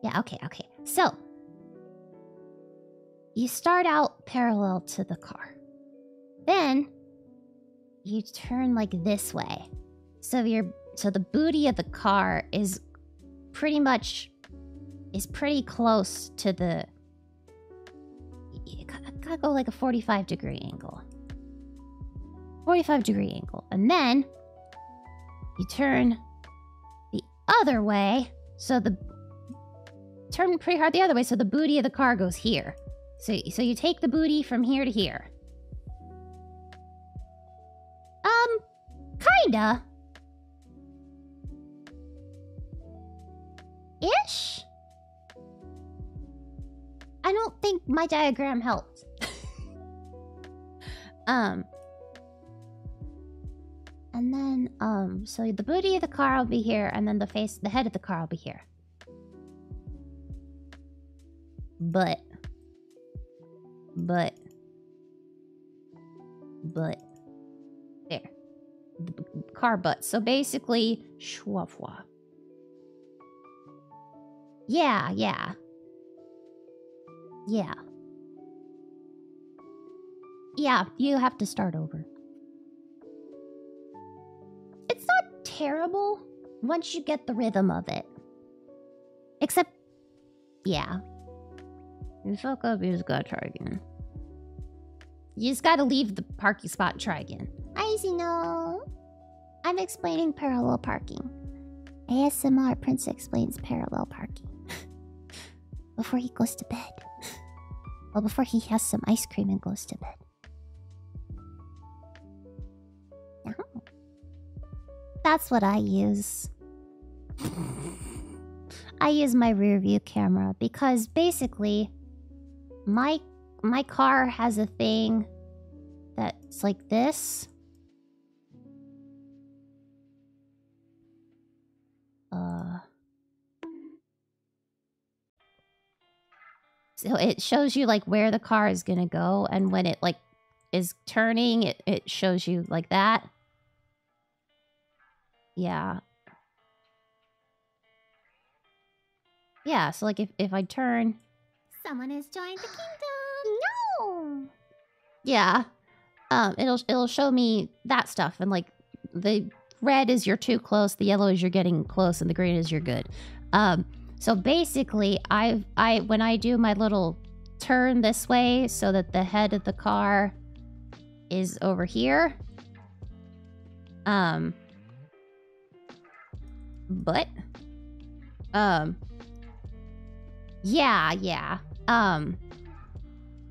Yeah, okay, okay. So, you start out parallel to the car. Then, you turn like this way. So, your so the booty of the car is pretty much is pretty close to the you gotta go like a 45 degree angle. 45 degree angle. And then you turn the other way. So the turn pretty hard the other way. So the booty of the car goes here. So, so you take the booty from here to here. Um, kinda. Ish? I don't think my diagram helped. um and then um so the booty of the car will be here and then the face the head of the car will be here. But but but there. The car butt. So basically schwa yeah, yeah. Yeah. Yeah, you have to start over. It's not terrible once you get the rhythm of it. Except, yeah. You fuck up, you just gotta try again. You just gotta leave the parking spot and try again. I see no. I'm explaining parallel parking. ASMR Prince explains parallel parking. before he goes to bed. well, before he has some ice cream and goes to bed. That's what I use. I use my rear view camera because basically my my car has a thing that's like this. Uh, so it shows you like where the car is gonna go, and when it like is turning, it, it shows you like that. Yeah. Yeah, so like if, if I turn... Someone has joined the kingdom! no! Yeah. Um, it'll, it'll show me that stuff and like the red is you're too close, the yellow is you're getting close, and the green is you're good. Um, so basically, I I when I do my little turn this way so that the head of the car is over here. Um, but um Yeah, yeah. Um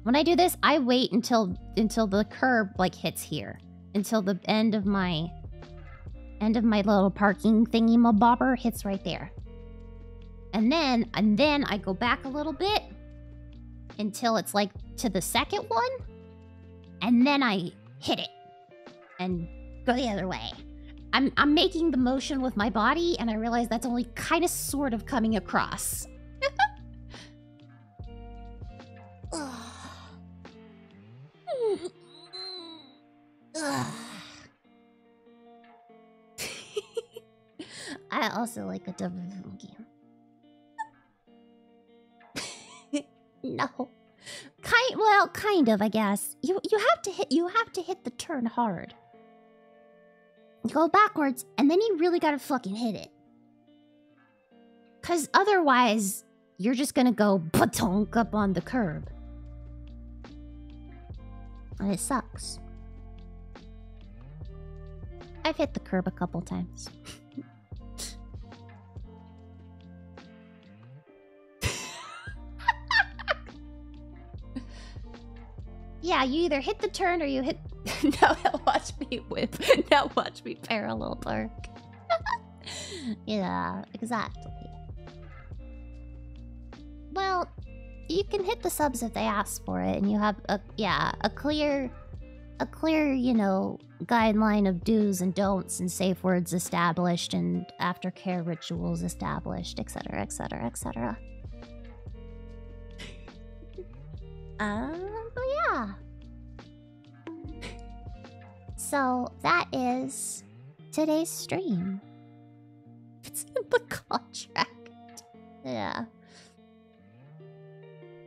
when I do this, I wait until until the curb like hits here. Until the end of my end of my little parking thingy my bobber hits right there. And then and then I go back a little bit until it's like to the second one. And then I hit it and go the other way. I'm, I'm making the motion with my body, and I realize that's only kind of sort of coming across. I also like a double game. no. Kind well, kind of, I guess. You you have to hit you have to hit the turn hard. go backwards, and then you really gotta fucking hit it. Cause otherwise, you're just gonna go batonk up on the curb. And it sucks. I've hit the curb a couple times. yeah, you either hit the turn or you hit. now watch me whip. now watch me parallel park. yeah, exactly. Well, you can hit the subs if they ask for it, and you have a yeah a clear, a clear you know guideline of do's and don'ts and safe words established and aftercare rituals established, etc., etc., etc. Um, yeah. So that is today's stream. It's in the contract. Yeah.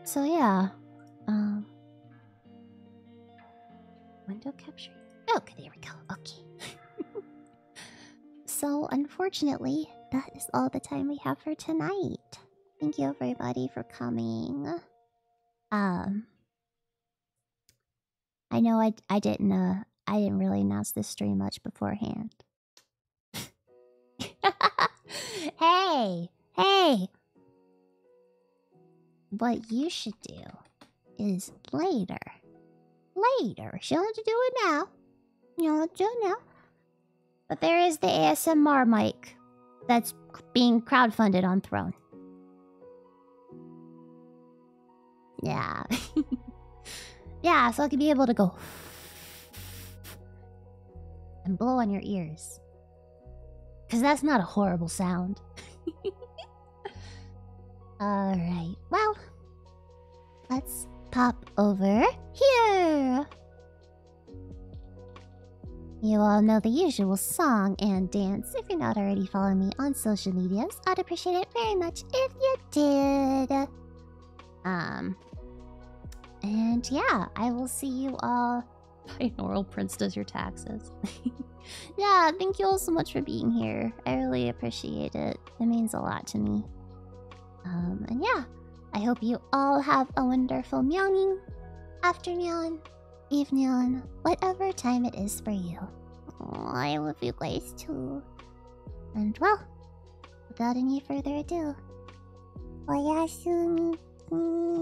So yeah. Um, Window capturing? Okay, there we go. Okay. so, unfortunately, that is all the time we have for tonight. Thank you, everybody, for coming. Um, I know I I didn't uh I didn't really announce this stream much beforehand. hey, hey. What you should do is later. Later. She don't have to do it now. You don't do now. But there is the ASMR mic that's being crowdfunded on Thrown. Yeah. yeah, so I can be able to go and blow on your ears. Because that's not a horrible sound. Alright, well, let's pop over here. You all know the usual song and dance. If you're not already following me on social medias, I'd appreciate it very much if you did. Um, and yeah, I will see you all Binaural Prince does your taxes. yeah, thank you all so much for being here. I really appreciate it. It means a lot to me. Um, and yeah, I hope you all have a wonderful meowing afternoon, evening, whatever time it is for you. I love you guys too. And well, without any further ado, Oyasumi.